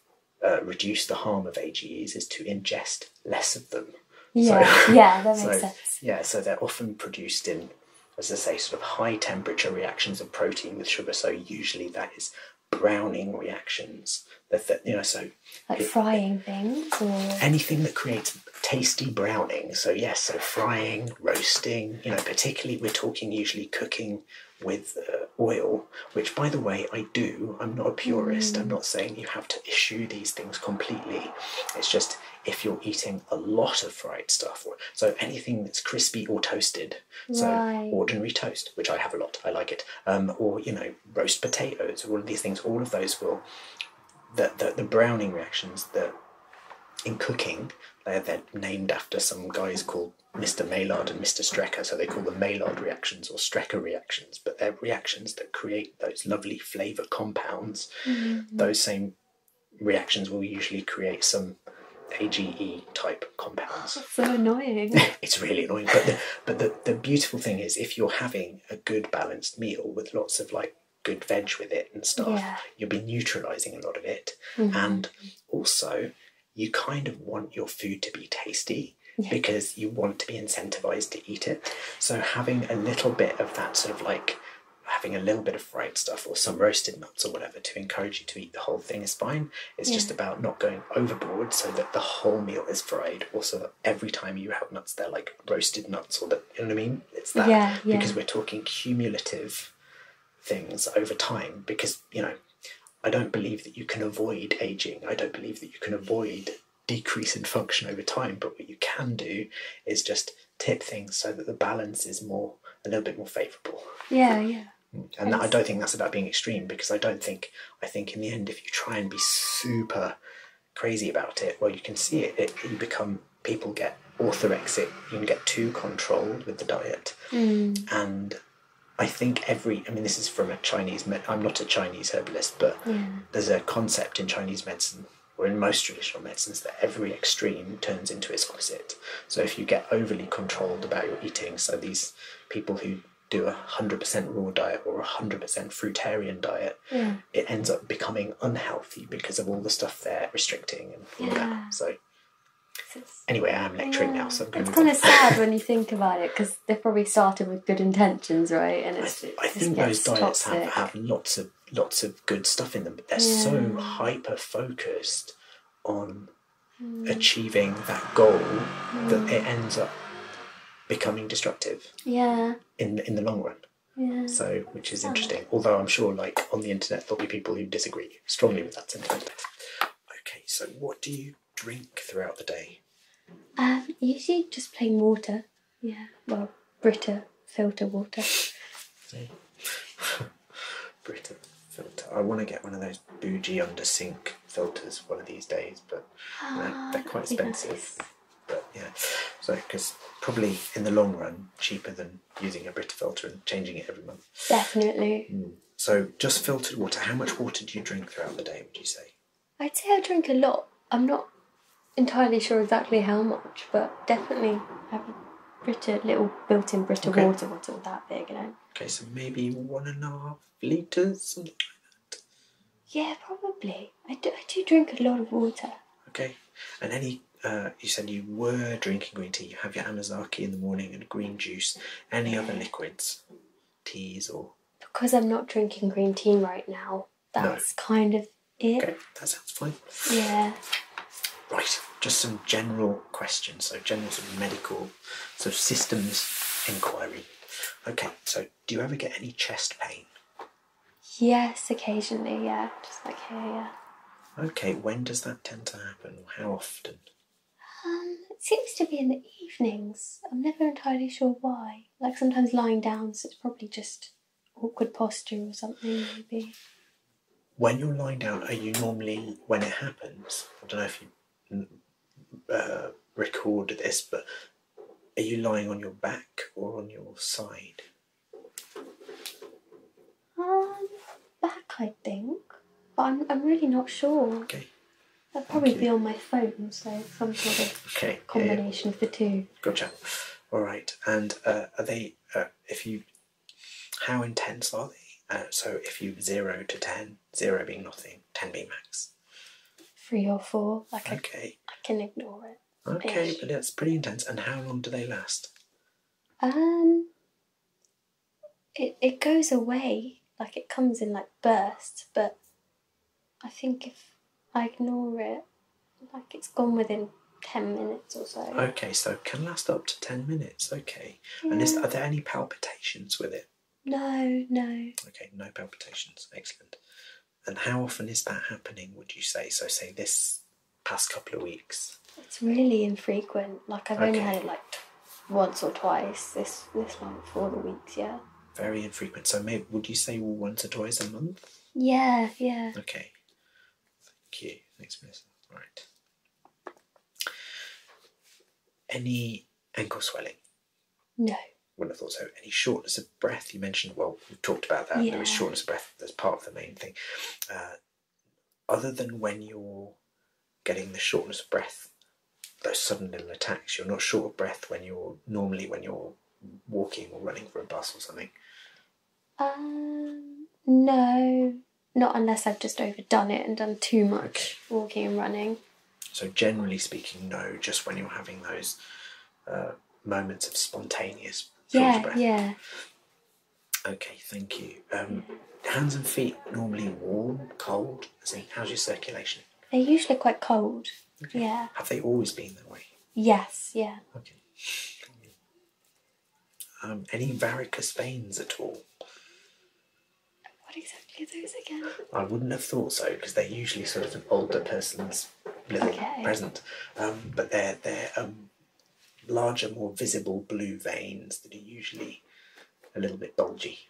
uh, reduce the harm of AGEs is to ingest less of them. Yeah, so, yeah, that makes sense. Yeah, so they're often produced in, as I say, sort of high temperature reactions of protein with sugar. So usually that is browning reactions. That, you know, so like frying things or anything that creates tasty browning. So yes, so frying, roasting. You know, particularly we're talking usually cooking with uh, oil, which by the way I do. I'm not a purist. I'm mm. not saying you have to. Issue these things completely. It's just if you're eating a lot of fried stuff, so anything that's crispy or toasted, so ordinary toast, which I have a lot, I like it, um, or you know, roast potatoes, all of these things, all of those will, the, the, browning reactions that in cooking, they're, they're named after some guys called Mr. Maillard and Mr. Strecker, so they call them Maillard reactions or Strecker reactions but they're reactions that create those lovely flavour compounds. Mm-hmm. Those same reactions will usually create some AGE type compounds. so annoying. it's really annoying. But the, but the, beautiful thing is if you're having a good balanced meal with lots of like good veg with it and stuff, you'll be neutralizing a lot of it. Mm-hmm. And also you kind of want your food to be tasty because you want to be incentivized to eat it. So having a little bit of that sort of like having a little bit of fried stuff or some roasted nuts or whatever to encourage you to eat the whole thing is fine. It's just about not going overboard so that the whole meal is fried or so that every time you have nuts they're like roasted nuts or that you know what I mean? It's that yeah. because we're talking cumulative things over time because you know I don't believe that you can avoid aging. I don't believe that you can avoid decrease in function over time, but what you can do is just tip things so that the balance is more a little bit more favourable. Yeah, yeah. And I don't think that's about being extreme because I don't think I think in the end, if you try and be super crazy about it, well, you can see it. you become people get orthorexic. You can get too controlled with the diet, mm. and I think every. I mean, this is from a Chinese. I'm not a Chinese herbalist, but there's a concept in Chinese medicine, or in most traditional medicines, that every extreme turns into exquisite. So if you get overly controlled about your eating, so these people who do a 100% raw diet or a 100% fruitarian diet, it ends up becoming unhealthy because of all the stuff they're restricting and all that. So, anyway, I'm lecturing now, so I'm kind of sad when you think about it because they probably started with good intentions, right? And it's, I, I think those diets have, have lots of lots of good stuff in them, but they're so hyper focused on mm. achieving that goal that mm. it ends up becoming destructive. Yeah. In in the long run. Yeah. So, which is oh. interesting. Although I'm sure, like on the internet, there'll be people who disagree strongly with that sentiment. Okay, so what do you drink throughout the day? Um, usually just plain water. Yeah, well, Brita filter water. See? Brita filter. I want to get one of those bougie under sink filters one of these days, but ah, they're quite expensive. But yeah, so because probably in the long run, cheaper than using a Brita filter and changing it every month. Definitely. Mm. So just filtered water. How much water do you drink throughout the day? Would you say? I'd say I drink a lot. I'm not entirely sure exactly how much, but definitely have a Brita, little built in Brita okay. water bottle that big, you know. Okay, so maybe one and a half litres, something like that. Yeah, probably. I do, I do drink a lot of water. Okay, and any. Uh, you said you were drinking green tea. You have your amazaki in the morning and green juice. Any other liquids, teas, or because I'm not drinking green tea right now, that's kind of it. that sounds fine. Yeah. Right, just some general questions. So general sort of medical, so systems inquiry. Okay, so do you ever get any chest pain? Yes, occasionally, yeah. Just like here, Okay, when does that tend to happen? How often? Um, it seems to be in the evenings. I'm never entirely sure why. Like sometimes lying down, so it's probably just awkward posture or something, maybe. When you're lying down, are you normally, when it happens, I don't know if you uh, record this, but are you lying on your back or on your side? Um, back, I think, but I'm, I'm really not sure. Okay. I'd probably be on my phone, so some sort of combination of the two. Mm. Gotcha. All right. And uh, are they? Uh, if you, how intense are they? Uh, so if you zero to ten, zero being nothing, ten being max. Three or four. Like okay. I, can ignore it. Okay, ish. but it's pretty intense. And how long do they last? Um. It it goes away like it comes in like bursts, but I think if I ignore it, like it's gone within 10 minutes or so. Okay, so can last up to 10 minutes, okay. And is, are there any palpitations with it? No, no. Okay, no palpitations, excellent. And how often is that happening, would you say? So, say this past couple of weeks? It's really infrequent. Like, I've only had it like once or twice this, this month for the weeks, yeah. Very infrequent. So, maybe, would you say once or twice a month? Yeah, yeah. Okay. Thank you. Thanks, Miss. All right. Any ankle swelling? No. Wouldn't have thought so. Any shortness of breath? You mentioned, well, we talked about that. Yeah. There was shortness of breath. That's part of the main thing. Uh, other than when you're getting the shortness of breath, those sudden little attacks, you're not short of breath when you're normally when you're walking or running for a bus or something? Um, no, not unless I've just overdone it and done too much walking and running. So, generally speaking, no, just when you're having those uh, moments of spontaneous yeah, Yeah. Okay, thank you. Um, hands and feet normally warm, cold? See, how's your circulation? They're usually quite cold. Yeah. Have they always been that way? Yes, yeah. Um, any varicose veins at all? What exactly are those again? I wouldn't have thought so because they're usually sort of an older person's okay. present, um, but they're they're um, larger, more visible blue veins that are usually a little bit bulgy.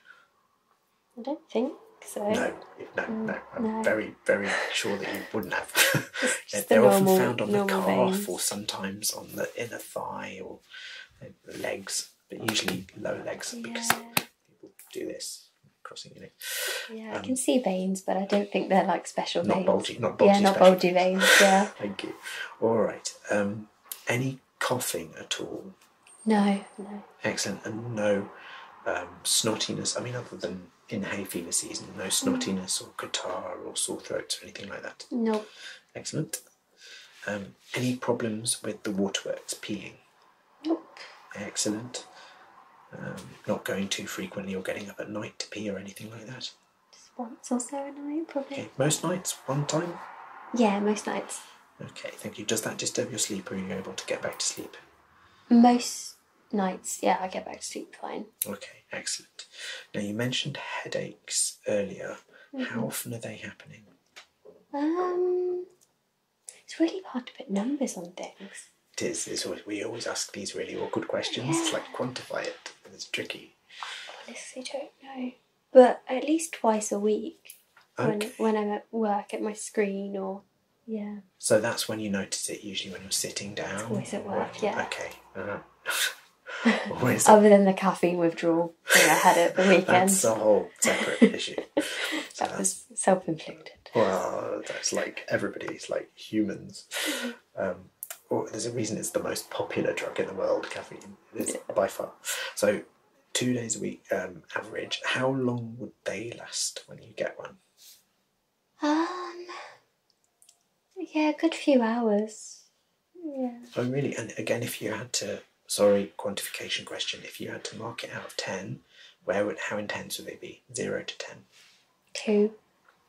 I don't think so. No, no, no. Mm, no. I'm very very, sure that you wouldn't have. they're, often found on the calf or sometimes on the inner thigh or legs, but usually low legs because people do this crossing your neck. Yeah, I can um, see veins, but I don't think they're like special not veins. Bulgy, not bulgy, veins. Yeah. Thank you. All right. Um, any coughing at all? No, no. Excellent, and no um, snottiness. I mean, other than in hay fever season? No snottiness or catarrh or sore throats or anything like that? No. Nope. Excellent. Um, any problems with the waterworks peeing? Nope. Excellent. Um, not going too frequently or getting up at night to pee or anything like that? Just once or so a night, probably. Okay. Most nights? One time? Yeah, most nights. Okay, thank you. Does that disturb your sleep or are you able to get back to sleep? Most nights, yeah, I get back to sleep fine. Okay, excellent. Now you mentioned headaches earlier. How mm-hmm. often are they happening? Um, it's really hard to put numbers on things. It is. It's always, we always ask these really awkward questions. It's like quantify it. and It's tricky. honestly don't know. But at least twice a week, when when I'm at work at my screen or yeah. So that's when you notice it usually when you're sitting down. It's always at work, yeah. Okay. Uh-huh. Other than the caffeine withdrawal I had it the weekend. that's a whole separate issue. So that was self inflicted. Well, that's like everybody's like humans. Um, oh, there's a reason it's the most popular drug in the world, caffeine. is by far. So two days a week um, average. How long would they last when you get one? Um, yeah, good few hours. Yeah. So really, and again, if you had to, sorry, quantification question. If you had to mark it out of ten, where would how intense would it be? Zero to ten. Two.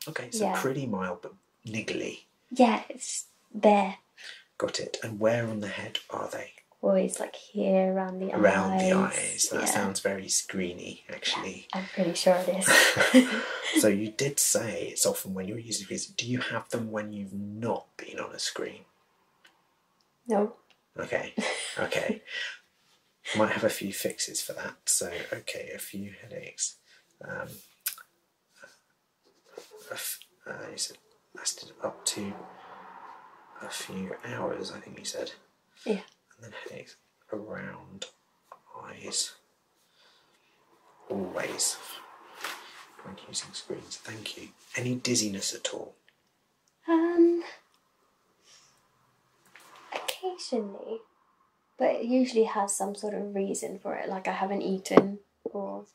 Okay, so pretty mild but niggly. Yeah, it's there. Got it. And where on the head are they? Always like here around the eyes. Around the eyes. That sounds very screeny actually. I'm pretty sure it is. so you did say it's often when you're using screens. Do you have them when you've not been on a screen? No. Okay. Okay. Might have a few fixes for that. So okay, a few headaches. Um, uh, said lasted up to a few hours. I think you said. Yeah and then headaches around eyes. Always when using screens. Thank you. Any dizziness at all? Um, occasionally, but it usually has some sort of reason for it, like I haven't eaten or.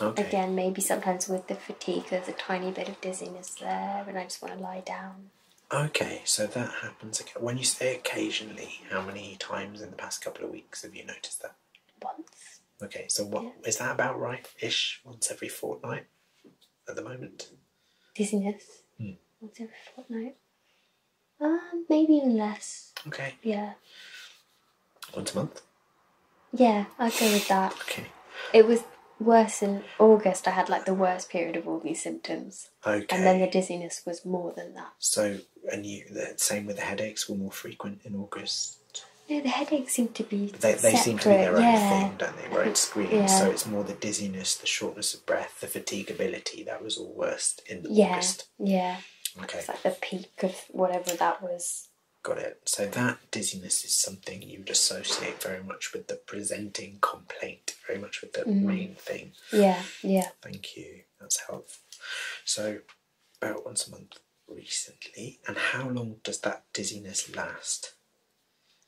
Again, maybe sometimes with the fatigue, there's a tiny bit of dizziness there, and I just want to lie down. Okay, so that happens when you say occasionally. How many times in the past couple of weeks have you noticed that? Once. Okay, so what is that about right? Ish, once every fortnight at the moment. Dizziness. Hmm. Once every fortnight. Um, maybe even less. Okay. Yeah. Once a month. Yeah, I'd go with that. okay. It was worse in August. I had like the worst period of all these symptoms. Okay. And then the dizziness was more than that. So, and you, the same with the headaches were more frequent in August? No, the headaches seem to be. But they, they seem to be their own thing, don't they? Right, it's So it's more the dizziness, the shortness of breath, the fatigue, ability That was all worst in yeah. August. Yeah. Okay. It's like the peak of whatever that was. Got it. So that dizziness is something you'd associate very much with the presenting complaint very much with the mm. main thing. Yeah, yeah. Thank you. That's helpful. So, about once a month recently. And how long does that dizziness last?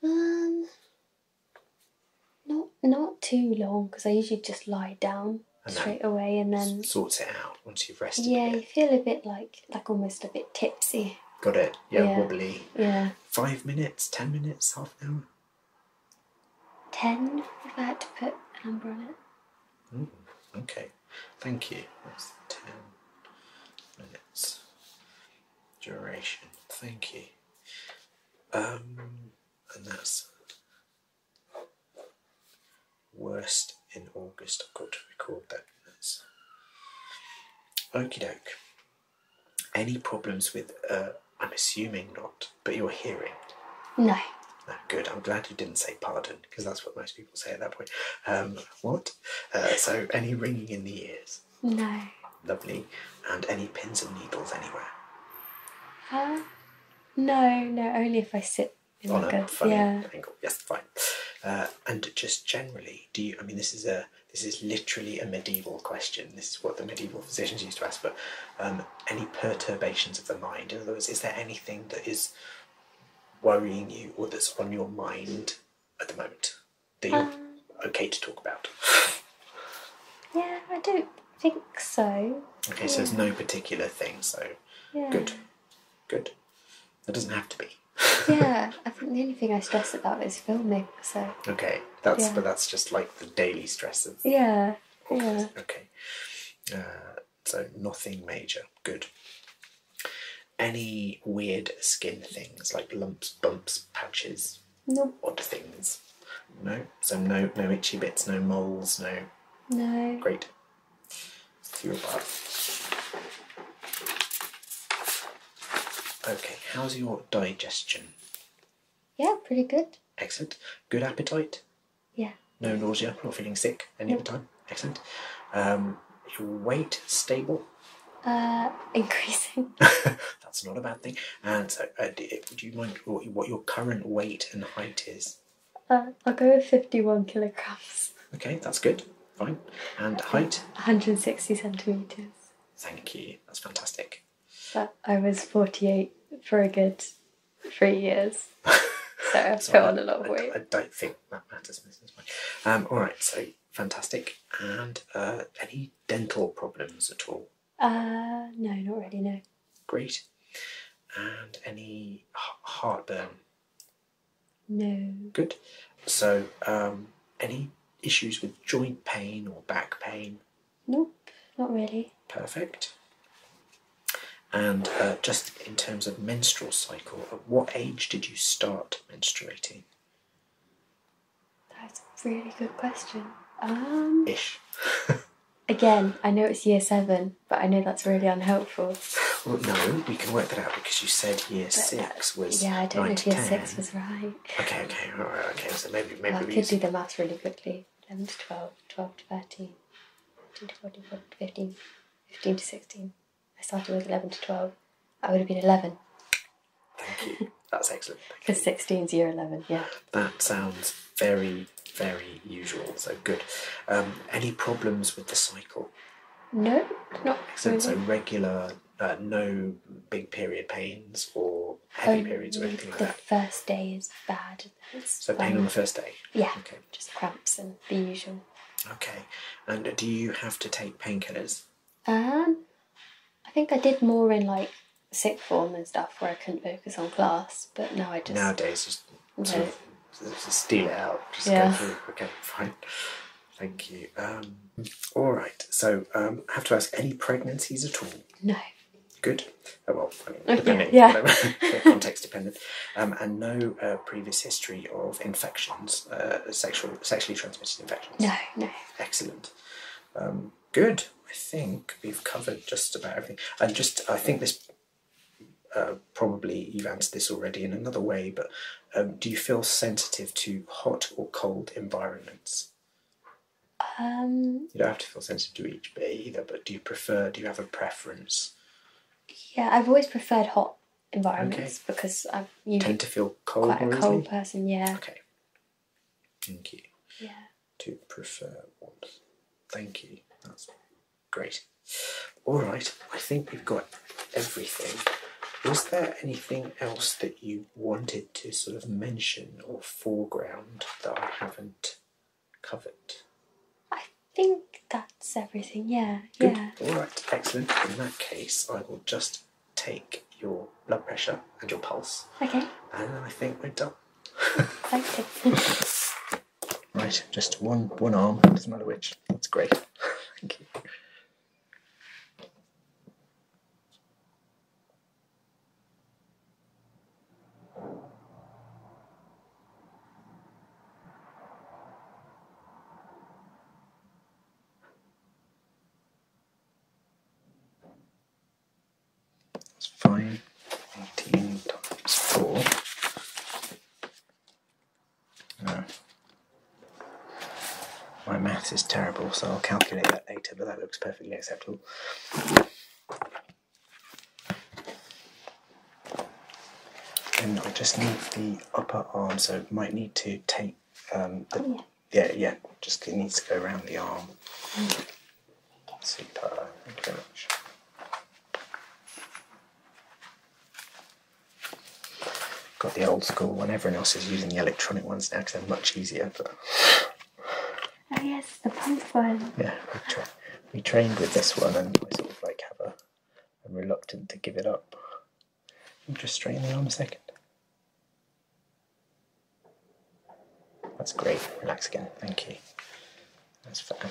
Um, not not too long because I usually just lie down straight away and then sort it out once you've rested. Yeah, you feel a bit like like almost a bit tipsy. Got it. yeah. wobbly. Yeah. Five minutes, ten minutes, half an hour. 10 if I had to put an number on it. okay, thank you. That's 10 minutes duration. Thank you. Um, and that's worst in August. I've got to record that. Okey doke. Any problems with, uh, I'm assuming not, but you're hearing? No. Ah, good. I'm glad you didn't say pardon because that's what most people say at that point. Um, what? Uh, so, any ringing in the ears? No. Lovely. And any pins and needles anywhere? Huh? no, no, only if I sit in oh, On like a, yeah. angle. Yes, fine. Uh, and just generally, do you? I mean, this is a this is literally a medieval question. This is what the medieval physicians used to ask for, um, any perturbations of the mind. In other words, is there anything that is worrying you or that's on your mind at the moment that you're um. okay to talk about? yeah, I don't think so. Okay, so there's no particular thing, so good, good. That doesn't have to be. yeah, I think the only thing I stress about is filming. So okay, that's but that's just like the daily stress yeah, yeah. Okay, uh, so nothing major. Good. Any weird skin things like lumps, bumps, patches, no odd things. No, so no, no itchy bits, no moles, no. No. Great. Your bar. Okay, how's your digestion? Yeah, pretty good. Excellent. Good appetite. Yeah. No nausea, not feeling sick any other time. Excellent. Um, your weight stable. Uh, increasing. That's not a bad thing. And uh, uh, do, uh, do you mind what your current weight and height is? Uh, I'll go with 51 kilograms. Okay, that's good. Fine. And height? 160 centimetres. Thank you. That's fantastic. But I was 48 for a good three years. So I put on a lot of weight. I, don't think that matters, Mrs. White. Um, all right, so fantastic. And uh, any dental problems at all? Uh, no, not really, no. Great. And any heartburn? No. Good. So, um, any issues with joint pain or back pain? Nope, not really. Perfect. And uh, just in terms of menstrual cycle, at what age did you start menstruating? That's a really good question. Um, Ish. again, I know it's year seven, but I know that's really unhelpful. no, we can work that out because you said year uh, six was. Yeah, I don't know if year six was right. Okay, okay, all right, okay. So maybe maybe well, I could do the maths really quickly. 11 to 12, 12 to 13, to 14, to 15, 15 to 16. I started with 11 to 12. I would have been 11. Thank you. That's excellent. Because 16 is year 11, yeah. That sounds very, very usual. So good. Um, any problems with the cycle? No, not So regular, uh, no big period pains or heavy periods or anything like that? The first day is bad. so, pain on the first day? Yeah. Okay. Just cramps and the usual. Okay. And do you have to take painkillers? Um, I think I did more in like sick form and stuff where I couldn't focus on class, but no, I just. Nowadays, just no. sort of just steal it out. Just go through. Okay, fine. Thank you. Um, all right. So, um, I have to ask any pregnancies at all? No. Good. Oh, well, I mean, depending, context dependent, um, and no uh, previous history of infections, uh, sexual, sexually transmitted infections. No, no. Excellent. Um, good. I think we've covered just about everything. And just, I think this uh, probably you've answered this already in another way, but um, do you feel sensitive to hot or cold environments? Um, you don't have to feel sensitive to each bit either, but do you prefer? Do you have a preference? Yeah, I've always preferred hot environments because I tend to feel cold. Quite a cold person, yeah. Okay. Thank you. Yeah. To prefer warmth. Thank you. That's great. All right. I think we've got everything. Was there anything else that you wanted to sort of mention or foreground that I haven't? covered. I think that's everything, yeah. Yeah. Alright, excellent. In that case, I will just take your blood pressure and your pulse. Okay. And then I think we're done. okay. right, just one one arm, doesn't matter which. That's great. Thank you. It's 518 times 4. No. My maths is terrible, so I'll calculate that later, but that looks perfectly acceptable. And I just need the upper arm, so might need to take um, oh, yeah. yeah, yeah, just it needs to go around the arm. Mm. Super, thank you very much. Got the old school one, everyone else is using the electronic ones now because they're much easier. Oh yes, the pump one. Yeah, we, trained with this one and I sort of like have a, I'm reluctant to give it up. just straighten the arm a second. That's great, relax again, thank you. That's fine.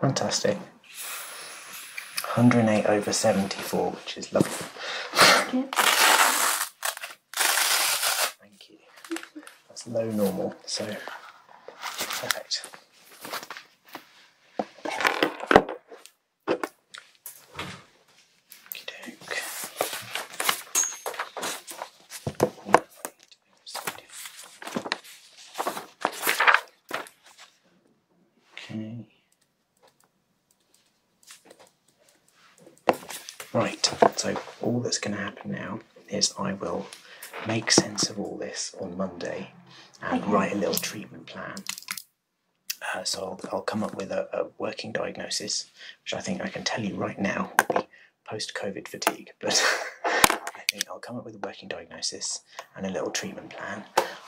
Fantastic. 108 over 74, which is lovely. Thank you. That's low normal, so perfect. Okay. Right, so all that's going to happen now is I will make sense of all this on Monday and write a little treatment plan. Uh, so I'll, come up with a, working diagnosis, which I think I can tell you right now would be post-COVID fatigue. But I think I'll come up with a working diagnosis and a little treatment plan.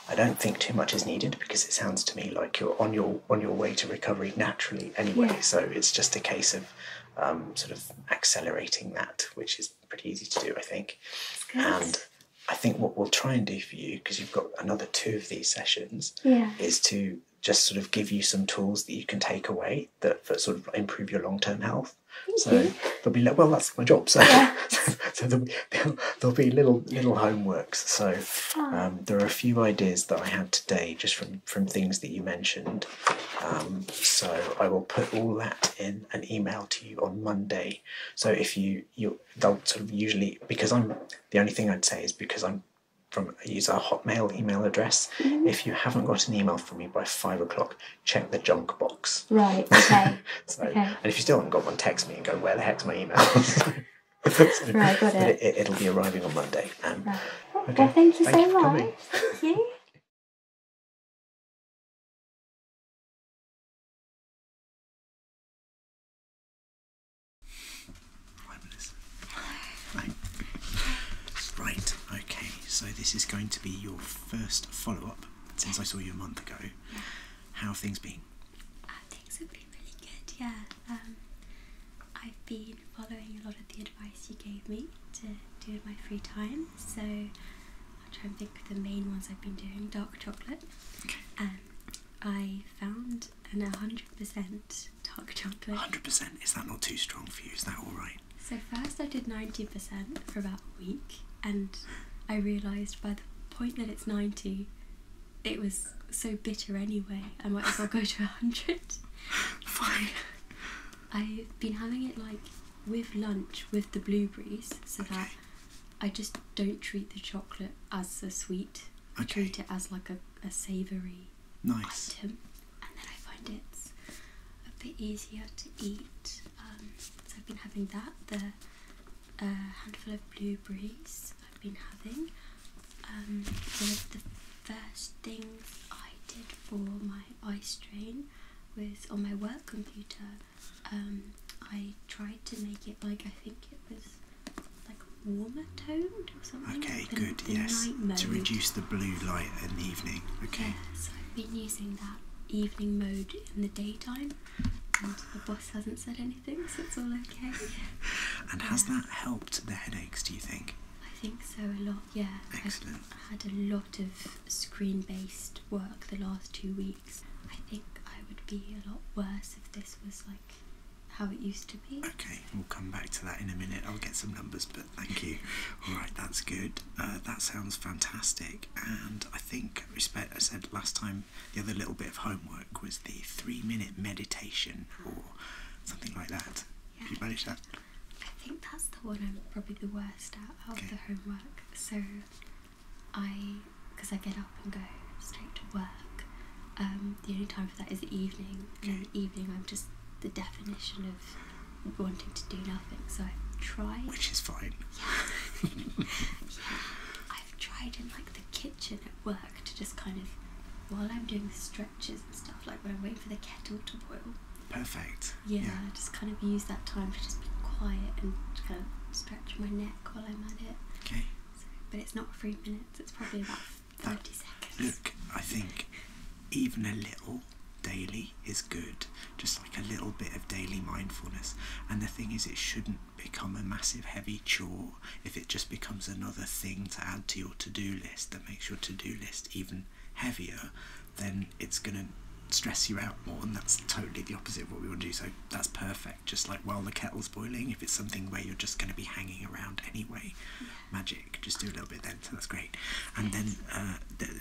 I don't think too much is needed because it sounds to me like you're on your on your way to recovery naturally anyway. So it's just a case of um, sort of accelerating that, which is pretty easy to do, I think. And I think what we'll try and do for you, because you've got another two of these sessions, is to just sort of give you some tools that you can take away that, that sort of improve your long term health. so you. there'll be well, that's my job. So, so there'll, be little little homeworks. So um, there are a few ideas that I had today just from from things that you mentioned. Um, so I will put all that in an email to you on Monday. So if you you they'll sort of usually because I'm the only thing I'd say is because I'm from use our Hotmail email address. Mm-hmm. If you haven't got an email from me by five o'clock, check the junk box. Right. Okay. okay. And if you still haven't got one, text me and go, "Where the heck's my email?" right. Got it. it. will be arriving on Monday. Um, okay. thank you so much. Thank you. Right, okay, so this is going to be your first follow up since I saw you a month ago. How things been? Uh, things have been really good, yeah. Um, I've been following a lot of the advice you gave me to do in my free time, so I'll try and think of the main ones I've been doing dark chocolate. Um, I found chocolate and 100% dark chocolate. 100%? Is that not too strong for you? Is that alright? So, first I did 90% for about a week, and I realised by the point that it's 90, it was so bitter anyway, I might as well go to 100. Fine. I've been having it like with lunch with the blueberries so that I just don't treat the chocolate as a sweet. I treat it as like a, a savoury nice. and then I find it's a bit easier to eat. Um, so I've been having that, the uh, handful of blueberries I've been having. Um, one of the first things I did for my eye strain was on my work computer. Um, I tried to make it like I think it was like warmer toned or something. Okay, good. yes, to reduce the blue light in the evening. Okay. so I've been using that evening mode in the daytime, and the boss hasn't said anything, so it's all okay. and has that helped the headaches? Do you think? I think so a lot. Yeah. Excellent. i had a lot of screen-based work the last two weeks. I think I would be a lot worse if this was like how it used to be. Okay, we'll come back to that in a minute. I'll get some numbers, but thank you. All right, that's good. Uh, that sounds fantastic. And I think respect. I said last time the other little bit of homework was the three-minute meditation or something like that. Yeah. Have you managed that? I think that's the one I'm probably the worst at of the homework. So I, because I get up and go straight to work, um, the only time for that is the evening. In the evening, I'm just the definition of wanting to do nothing. So I've tried. Which is fine. Yeah. I've tried in like the kitchen at work to just kind of, while I'm doing the stretches and stuff, like when I'm waiting for the kettle to boil. Perfect. Yeah, just kind of use that time to just be quiet and kind of stretch my neck while I'm at it. Okay. but it's not three minutes. It's probably about Look, I think even a little daily is good. Just like a little bit of daily mindfulness. And the thing is, it shouldn't become a massive heavy chore if it just becomes another thing to add to your to-do list that makes your to-do list even heavier then it's going to stress you out more and that's totally the opposite of what we want to do so that's perfect just like while the kettle's boiling if it's something where you're just going to be hanging around anyway magic. Just do a little bit then, so that's great. And then uh,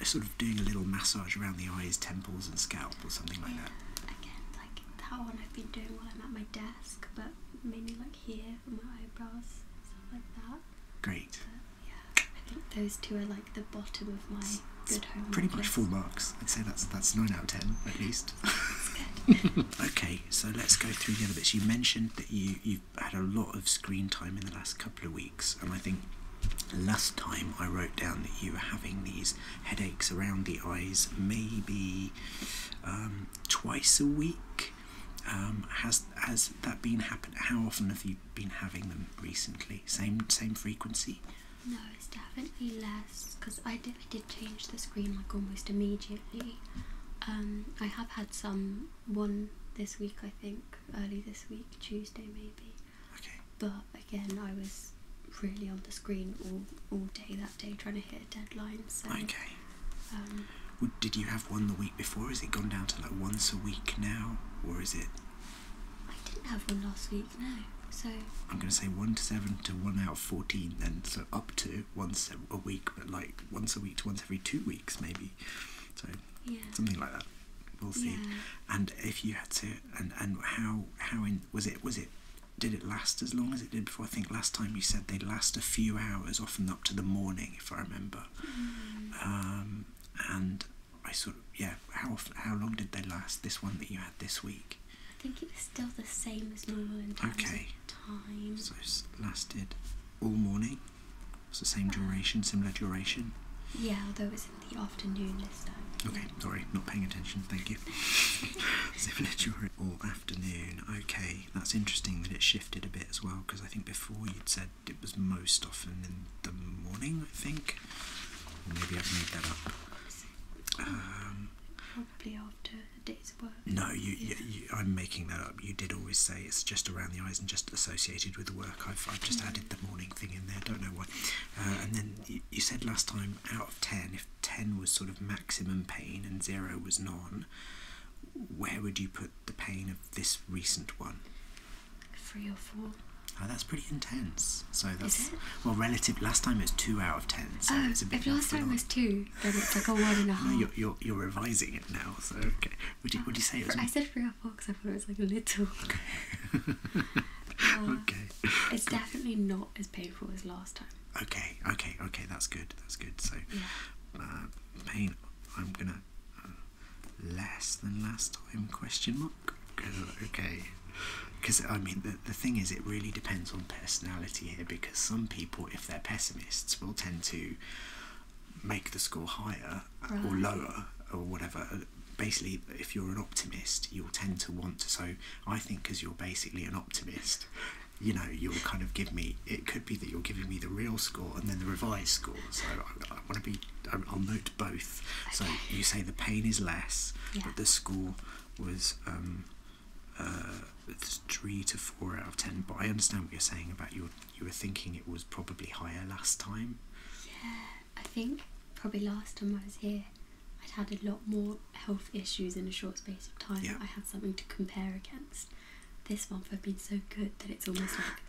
sort of doing a little massage around the eyes, temples, and scalp, or something like yeah, that. Again, like that one I've been doing while I'm at my desk, but maybe like here for my eyebrows, stuff like that. Great. yeah, I think those two are like the bottom of my good home. Pretty much list. full marks. I'd say that's that's nine out of ten at least. okay, so let's go through the other bits. You mentioned that you you've had a lot of screen time in the last couple of weeks, and I think last time I wrote down that you were having these headaches around the eyes, maybe um, twice a week. Um, has has that been happened? How often have you been having them recently? Same same frequency? No, it's definitely less because I did change the screen like almost immediately. Um, I have had some one this week, I think, early this week, Tuesday maybe. Okay. But again, I was really on the screen all, all day that day trying to hit a deadline. So, okay. Um, did you have one the week before? Has it gone down to like once a week now, or is it? I didn't have one last week. No. So. I'm gonna say one to seven to one out of fourteen, then so up to once a week, but like once a week once every two weeks, maybe. So something like that. We'll see. And if you had to, and and how how in was it was it did it last as long as it did before? I think last time you said they last a few hours, often up to the morning, if I remember. Mm. Um, and I sort of yeah. How often, how long did they last? This one that you had this week. I think it was still the same as normal okay. of time. So it lasted all morning? It's the same duration, similar duration? Yeah, although it's in the afternoon this time. Okay, sorry, not paying attention, thank you. similar duration, all afternoon. Okay, that's interesting that it shifted a bit as well, because I think before you'd said it was most often in the morning, I think. maybe I've made that up. Probably after um, no, you, yeah. I'm making that up. You did always say it's just around the eyes and just associated with the work. I've, I've just mm. added the morning thing in there, don't know why. Uh, and then you, said last time out of 10, if 10 was sort of maximum pain and 0 was none, where would you put the pain of this recent one? Three or four. Ah, that's pretty intense. So that's well, relative. Last time it was two out of ten, oh, If last time was two, then it's like a one and a half. No, you're, you're, you're revising saying now, so okay. Would you, would you say it was? I said three or because I thought it was like little. Okay. Uh, it's definitely not as painful as last time. Okay, okay, okay. That's good. That's good. So, uh, pain. I'm gonna uh, less than last time? Question mark. Okay. Because I mean, the the thing is, it really depends on personality here. Because some people, if they're pessimists, will tend to make the score higher or lower or whatever. Basically, if you're an optimist, you'll tend to want to. So, I think as you're basically an optimist, you know, you'll kind of give me. It could be that you're giving me the real score and then the revised score. So, I, want to be. I, will note both. So, you say the pain is less, but the score was. Um, uh, three to four out of ten. But I understand what you're saying about your you were thinking it was probably higher last time. Yeah, I think probably last time I was here, I'd had a lot more health issues in a short space of time. Yeah. I had something to compare against. This month I've been so good that it's almost like.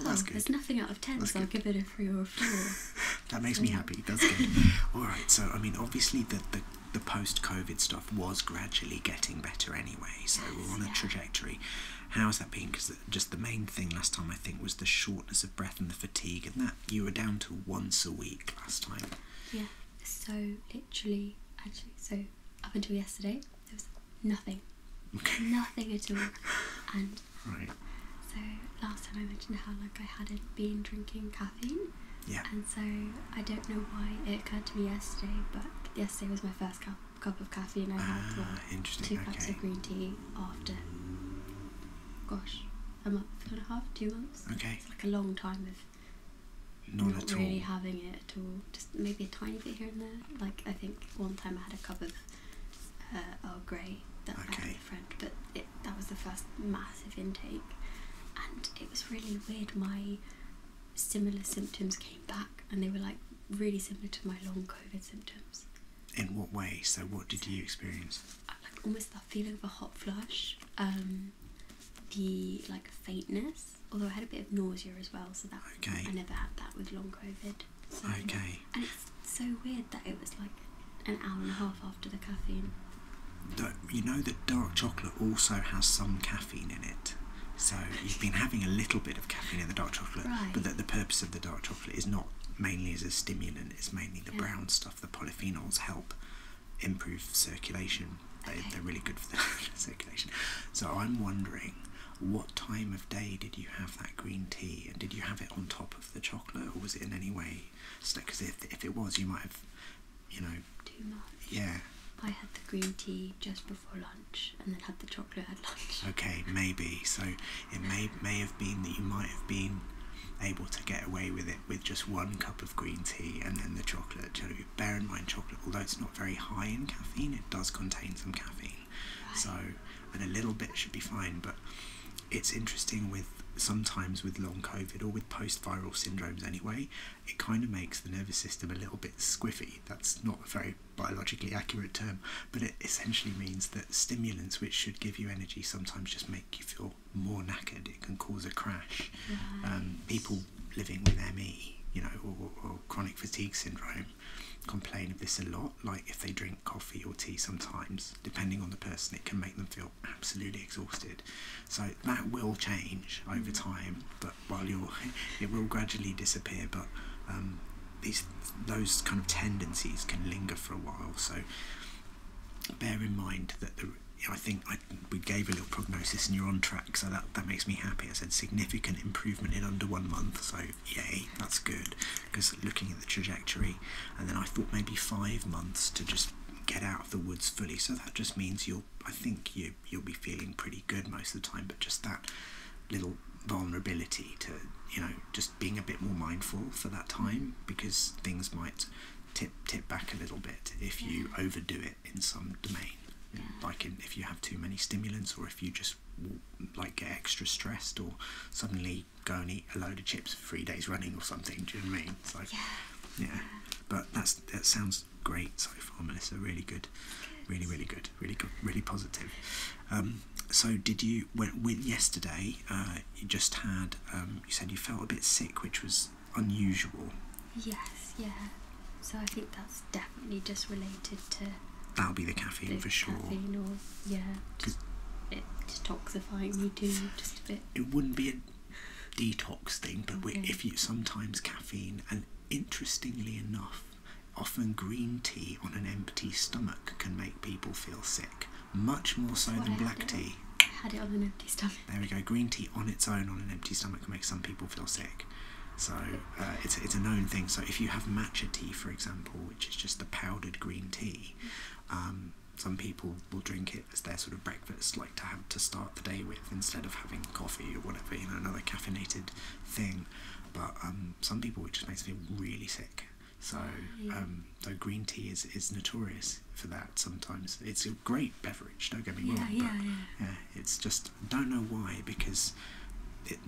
oh, there's nothing out of ten, so I'll give it a three or four. that makes me happy. That's good. All right. So, I mean, obviously, the, the, the post COVID stuff was gradually getting better anyway. So, we're on a trajectory how is that being? Because just the main thing last time I think was the shortness of breath and the fatigue, and that you were down to once a week last time. Yeah. So literally, actually, so up until yesterday, there was nothing, nothing at all, and right. So last time I mentioned how like I hadn't been drinking caffeine. Yeah. And so I don't know why it occurred to me yesterday, but yesterday was my first cup cup of caffeine I had. Ah, well, two cups of green tea after. Gosh, a month and a half, two months. Okay. It's like a long time of not, really having it at all. Just maybe a tiny bit here and there. Like I think one time I had a cup of uh, Earl Grey that I had a friend, but it, that was the first massive intake, and it was really weird. My similar symptoms came back and they were like really similar to my long COVID symptoms. In what way? So, what did you experience? Uh, like almost that feeling of a hot flush, um, the like faintness, although I had a bit of nausea as well, so that I never had that with long COVID. So, okay. And it's so weird that it was like an hour and a half after the caffeine. That You know that dark chocolate also has some caffeine caffeine in it. So you've been having a little bit of caffeine in the dark chocolate, but that the purpose of the dark chocolate is not mainly as a stimulant, it's mainly the brown stuff. The polyphenols help improve circulation. They, are really good for the circulation. So I'm wondering what time of day did you have that green tea and did you have it on top of the chocolate or was it in any way stuck? Because if, if it was, you might have, you know. Too much. Yeah. I had the green tea just before lunch and then had the chocolate at lunch. Okay, maybe. So it may may have been that you might have been able to get away with it with just one cup of green tea and then the chocolate. bear in mind, chocolate, although it's not very high in caffeine, it does contain some caffeine. Right. So a little bit should be fine, but it's interesting with sometimes with long COVID or with post viral syndromes anyway, it kind of makes the nervous system a little bit squiffy. That's not a very biologically accurate term, but it essentially means that stimulants which should give you energy sometimes just make you feel more knackered. It can cause a crash. Um, people living with ME, you know, or, or chronic fatigue syndrome complain of this a lot. Like if they drink coffee or tea sometimes, depending on the person, it can make them feel absolutely exhausted. So that will change over mm. time. But while you're it will gradually disappear but um, these those kind of tendencies can linger for a while so bear in mind that the I think I, we gave a little prognosis and you're on track, so that, that makes me happy. I said significant improvement in under one month, so yay, that's good. Because looking at the trajectory, and then I thought maybe five months to just get out of the woods fully. So that just means you'll, I think you you'll be feeling pretty good most of the time. But just that little vulnerability to you know just being a bit more mindful for that time because things might tip tip back a little bit if you overdo it in some domain like in, if you have too many stimulants or if you just like get extra stressed or suddenly go and eat a load of chips for three days running or something do you mean it's like yeah, yeah. but that's that sounds great so far, Melissa. Really good, really, really good, really good, really positive. Um, so did you when, when yesterday? Uh, you just had. Um, you said you felt a bit sick, which was unusual. Yes. Yeah. So I think that's definitely just related to. That'll be the caffeine for sure. Caffeine or, yeah. Just, it detoxifying you do just a bit. It wouldn't be a detox thing, but if you sometimes caffeine and Interestingly enough, often green tea on an empty stomach can make people feel sick, much more so than black tea. I had it on an empty stomach. There we go. Green tea on its own on an empty stomach can make some people feel sick. So uh, it's, it's a known thing. So if you have matcha tea, for example, which is just the powdered green tea, um, some people will drink it as their sort of breakfast, like to have to start the day with, instead of having coffee or whatever, you know, another caffeinated thing but um, some people it just makes me really sick. So um, green tea is is notorious for that. Sometimes it's a great beverage. Don't get me wrong. Yeah, but, yeah. yeah, It's just don't know why because it,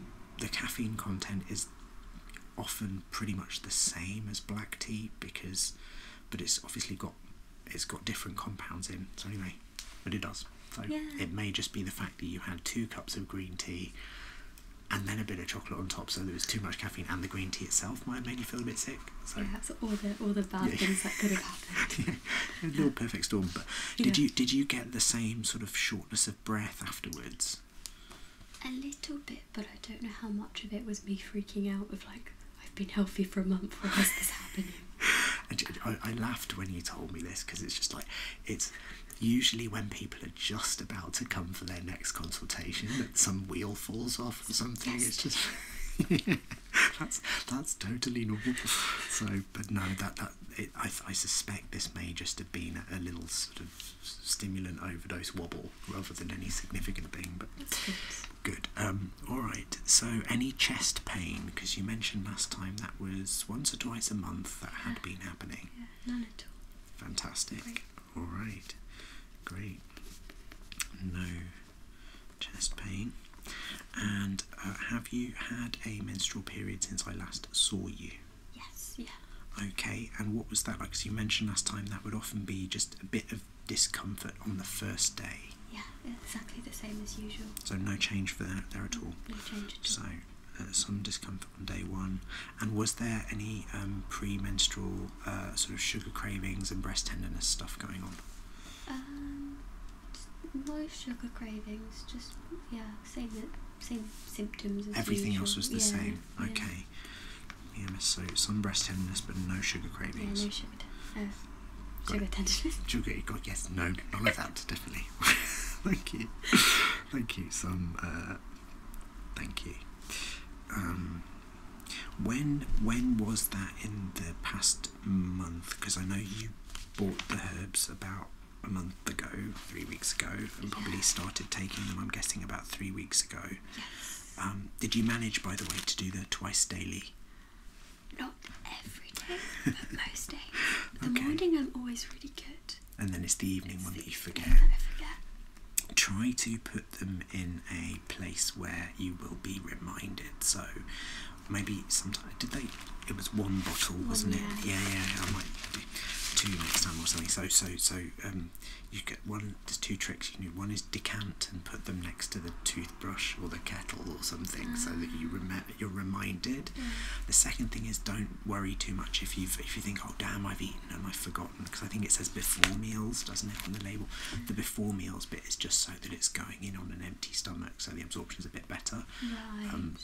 the caffeine content is often pretty much the same as black tea because but it's obviously got it's got different compounds in. So anyway, but it does. So it may just be the fact that you had two cups of green tea and then a bit of chocolate on top, so there was too much caffeine, and the green tea itself might have made you feel a bit sick. So. Yeah, that's all the all the bad things that could have happened. No perfect storm. But did you did you get the same sort of shortness of breath afterwards? A little bit, but I don't know how much of it was me freaking out Of like I've been healthy for a month. Why is this happening? I, I laughed when you told me this because it's just like it's Usually, when people are just about to come for their next consultation, that some wheel falls off or something. It's just that's that's totally normal. So, but no, that that I I suspect this may just have been a little sort of stimulant overdose wobble rather than any significant thing. But good. Um, all right. So, any chest pain? Because you mentioned last time that was once or twice a month that had been happening? none at all. Fantastic. All right, great. No chest pain. And uh, have you had a menstrual period since I last saw you? Yes, yeah. Okay, and what was that like? Because you mentioned last time that would often be just a bit of discomfort on the first day. Yeah, exactly the same as usual. So no change for that there at all. No change at all. So uh, some discomfort on day one? And was there any um, premenstrual uh, sort of sugar cravings and breast tenderness stuff going on? Um, no sugar cravings, just yeah, same same symptoms. Everything else was the same. Okay. Yeah. So some breast tenderness, but no sugar cravings. no sugar. Uh, sugar tenderness. Sugar. God, yes. No, none of that. Stephanie. thank you. thank you, Sam. Uh, thank you. Um, when when was that in the past month? Because I know you bought the herbs about a month ago, three weeks ago, and probably started taking them. I'm guessing about three weeks ago. Yes. Um, did you manage, by the way, to do the twice daily? Not every day, but most days. The morning I'm always really good and then it's the evening one that you forget. Try to put them in a place where you will be reminded. So maybe sometimes did they? It was one bottle, wasn't it? Yeah. yeah, yeah. I might do two next time or something. So so so um, you get one. There's two tricks you can do. One is decant and put them next to the toothbrush or the kettle or something, so that ah. you remember you're reminded. Mm. The second thing is don't worry too much if you if you think oh damn I've eaten and I've forgotten because I think it says before meals doesn't it on the label. The before meals bit is just so that it's going in on an empty stomach so the absorption's a bit better. Right. Um,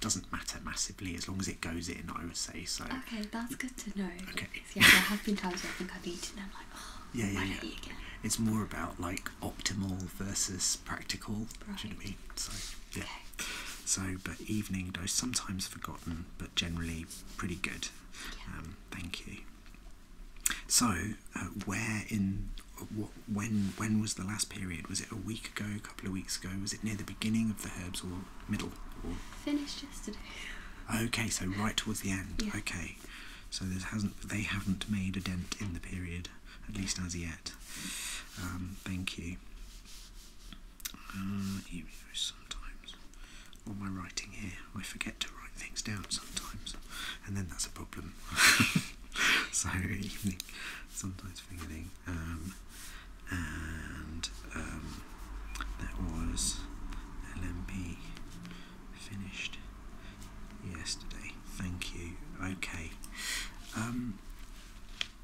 doesn't matter massively as long as it goes in I would say so. Okay, that's good to know. Okay. Yeah, there have been times I think I've eaten and I'm like oh yeah yeah, yeah. It's more about like optimal versus practical. you know what I mean? So yeah. So, but evening dose sometimes forgotten, but generally pretty good. Yeah. Um, thank you. So, uh, where in what when when was the last period? Was it a week ago? A couple of weeks ago? Was it near the beginning of the herbs or middle? Or? Finished yesterday. Okay, so right towards the end. Yeah. Okay, so there hasn't they haven't made a dent in the period, at least as yet. Um, thank you. Uh, ah, emails sometimes. Or my writing here. I forget to write things down sometimes, and then that's a problem. so, evening, sometimes forgetting. Um, and um, that was LMP finished yesterday. Thank you. Okay. Um,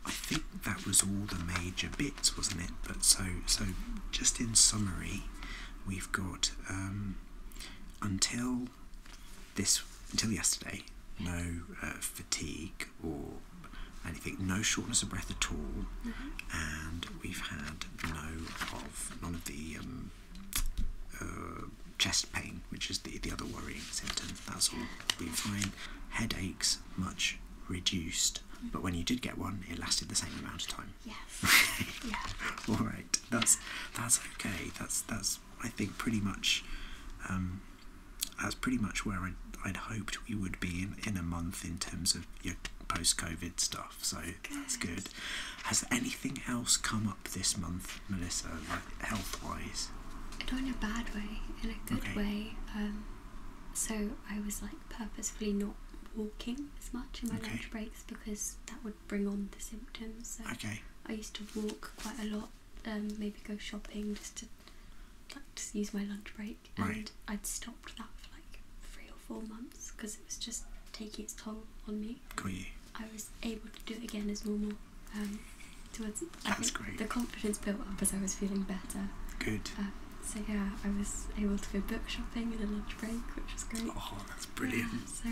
I think that was all the major bits, wasn't it? But so, so just in summary, we've got um, until this until yesterday, no uh, fatigue or anything, no shortness of breath at all, mm-hmm. and we've had no of none of the um, uh, chest pain, which is the the other worrying symptom that's all will be fine. Headaches much reduced, but when you did get one, it lasted the same amount of time. Yes. yeah. All right. That's that's okay. That's that's I think pretty much. Um, that's pretty much where I'd, hoped we would be in, in a month in terms of your post-COVID stuff. So that's good. Has anything else come up this month, Melissa, health-wise? not in a bad way, in a good way. Um, so I was like purposefully not walking as much in my lunch breaks because that would bring on the symptoms. okay. I used to walk quite a lot, um, maybe go shopping just to use my lunch break, and right. I'd stopped that for like three or four months because it was just taking its toll on me. Got you. I was able to do it again as normal um, towards the confidence built up as I was feeling better. Good. Uh, so yeah, I was able to go book shopping in a lunch break, which was great. Oh, that's brilliant. so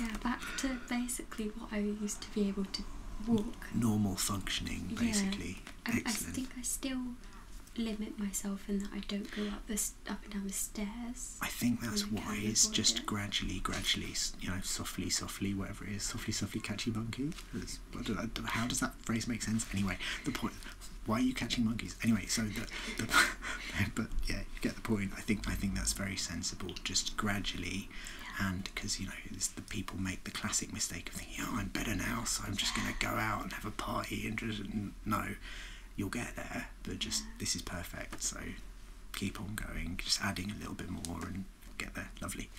yeah, back to basically what I used to be able to walk. Normal functioning, basically. I, Excellent. I think I still limit myself in that I don't go up the up and down the stairs. I think that's why it's Just gradually, gradually, you know, softly, softly, whatever it is, softly, softly, catchy monkey. How does that phrase make sense anyway? The point. Why are you catching monkeys anyway? So the, but yeah, get the point. I think I think that's very sensible. Just gradually, and because you know the people make the classic mistake of thinking, oh, I'm better now, so I'm just gonna go out and have a party. And no, you'll get there, but just this is perfect. So keep on going, just adding a little bit more and get there. Lovely.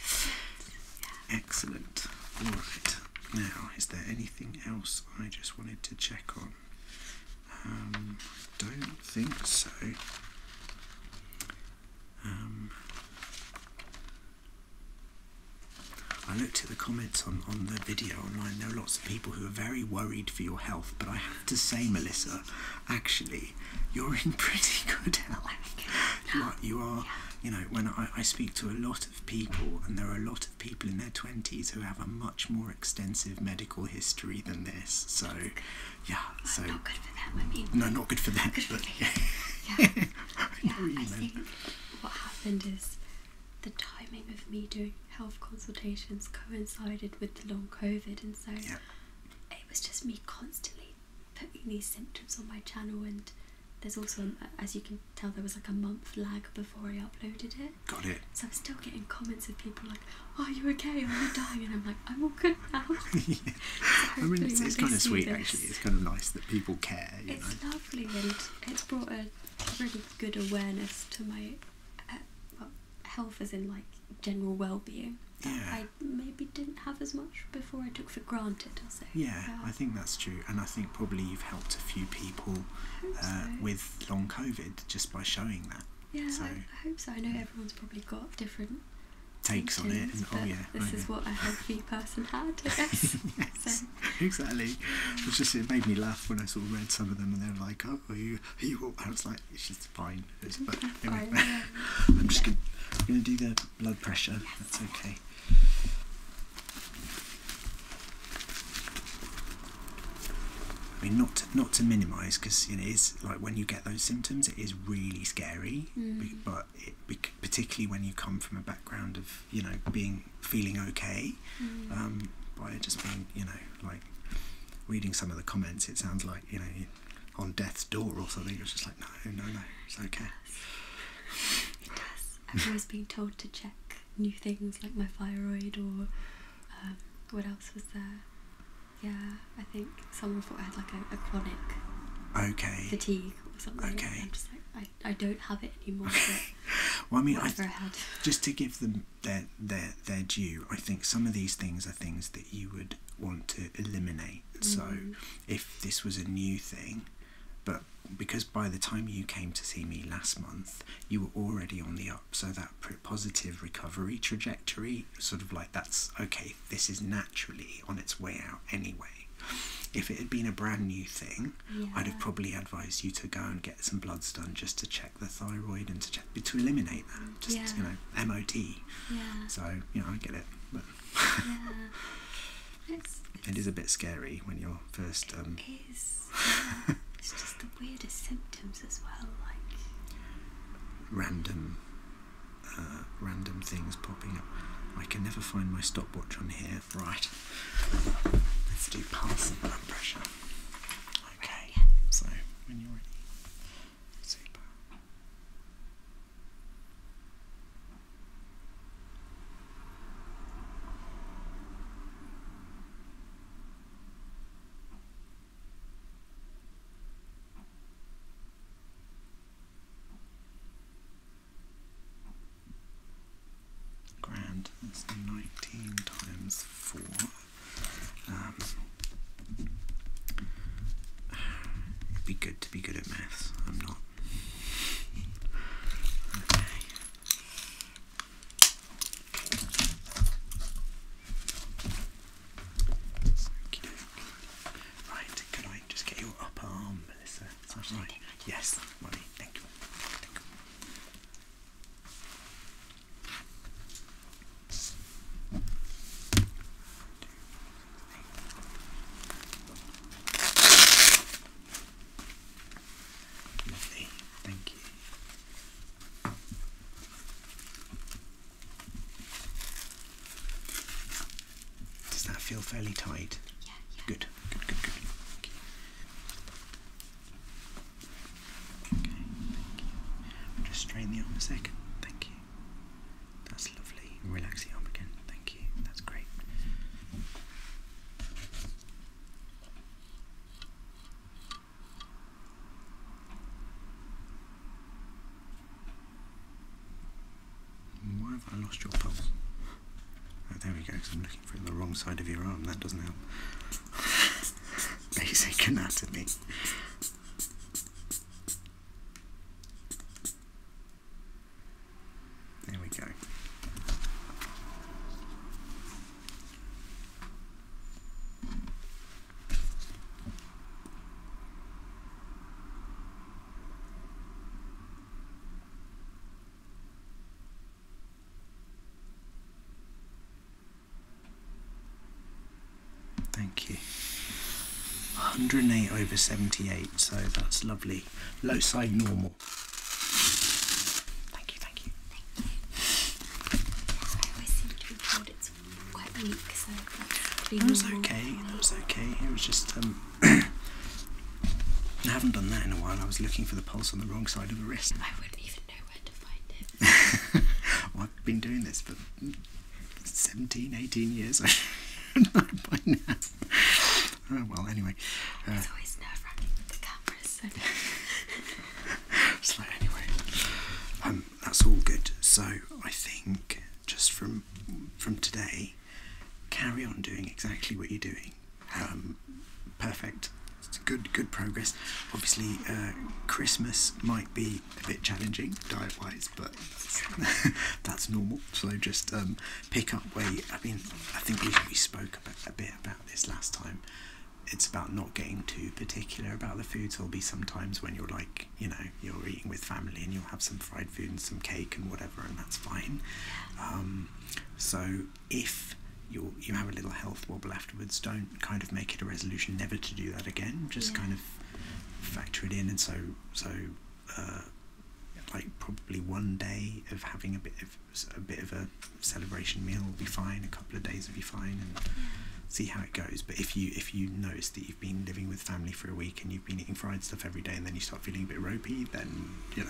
Excellent. All right. Now, is there anything else I just wanted to check on? I um, don't think so. Um, I looked at the comments on, on the video online. There are lots of people who are very worried for your health, but I have to say, Melissa, actually, you're in pretty good health you are, you, are you know when I, I speak to a lot of people and there are a lot of people in their 20s who have a much more extensive medical history than this so yeah well, so not good for them I mean no not good for them but yeah, I, think what happened is the timing of me doing health consultations coincided with the long covid and so it was just me constantly putting these symptoms on my channel and there's also as you can tell there was like a month lag before I uploaded it. Got it. So I'm still getting comments of people like, "Are you okay? Are you dying?" And I'm like, "I'm all good now." I mean, it's, kind of sweet actually. It's kind of nice that people care. it's lovely and it's brought a really good awareness to my uh, health, as in like general well-being. Yeah maybe didn't have as much before I took for granted. I'll say. Yeah, I think that's true, and I think probably you've helped a few people uh, with long COVID just by showing that. Yeah, so, I, hope so. I know everyone's probably got different takes on it. And, oh yeah, this oh, is what a healthy person had, I guess. exactly. It just made me laugh when I sort of read some of them, and they're like, "Oh, you, you?" I was like, "It's just fine." It's, fine, I'm just gonna, gonna do the blood pressure, that's okay. I mean, not to, not to minimise, because you know, it's like when you get those symptoms, it is really scary. Mm-hmm. But particularly when you come from a background of you know being feeling okay, mm-hmm. um, by just being you know like reading some of the comments, it sounds like you know on death's door or something. It's just like no, no, no, it's okay. It does. I've always been told to check new things like my thyroid or um, what else was there? Yeah, I think someone thought I had like a, chronic fatigue or something. Okay. I'm just like, I, I don't have it anymore. well, I mean, I, just to give them their, their, their due, I think some of these things are things that you would want to eliminate. So mm-hmm. if this was a new thing, but because by the time you came to see me last month, you were already on the up. So that positive recovery trajectory, sort of like that's okay, this is naturally on its way out anyway. If it had been a brand new thing, I'd have probably advised you to go and get some bloods done just to check the thyroid and to check to eliminate that, just you know, MOT. Yeah. So you know, I get it, it's, a bit scary when you're first. Um, it is. it's just the weirdest symptoms as well, like random, uh, random things popping up. I can never find my stopwatch on here. Right. Let's do pulse and blood pressure. Okay. So when you're ready. Super. Grand, that's 19 times 4. Um, it'd be good to be good at maths. I'm not. Right, could I just get your upper arm, Melissa? Yes, money. Thank you. Lovely, thank you. Does that feel fairly tight? Yeah, Good, good, good, good. Okay, thank you. I'll just strain the arm a second. Thank you. That's lovely. Relax your arm again. Thank you. That's great. Why have I lost your pulse? Oh, there we go, because I'm looking for the wrong side of your arm. That doesn't help. Basic anatomy. There we go. Thank you. 108 over 78, so that's lovely really low side normal. Thank you, thank you. Thank you. I always seem to be it's quite weak, so that was okay, that was okay. It was just um I haven't done that in a while. I was looking for the pulse on the wrong side of the wrist. I wouldn't even know where to find it. I've been doing this for 17, 18 years. I don't know by now. Oh, well, anyway. Uh, it's always nerve wracking with the cameras. So, anyway, um, that's all good. So I think just from from today, carry on doing exactly what you're doing. Um, perfect. good, good progress. Obviously, uh, Christmas might be a bit challenging diet wise, but that's normal. So just um, pick up weight. I mean, I think we, spoke a bit about this last time. It's about not getting too particular about the food. there'll be sometimes when you're like, you know, you're eating with family and you'll have some fried food and some cake and whatever, and that's fine. Um, so if you you have a little health wobble afterwards, don't kind of make it a resolution never to do that again. Just kind of factor it in, and so so. Uh, like probably one day of having a bit of a bit of a celebration meal will be fine. A couple of days will be fine, and see how it goes. But if you if you notice that you've been living with family for a week and you've been eating fried stuff every day, and then you start feeling a bit ropey, then you know,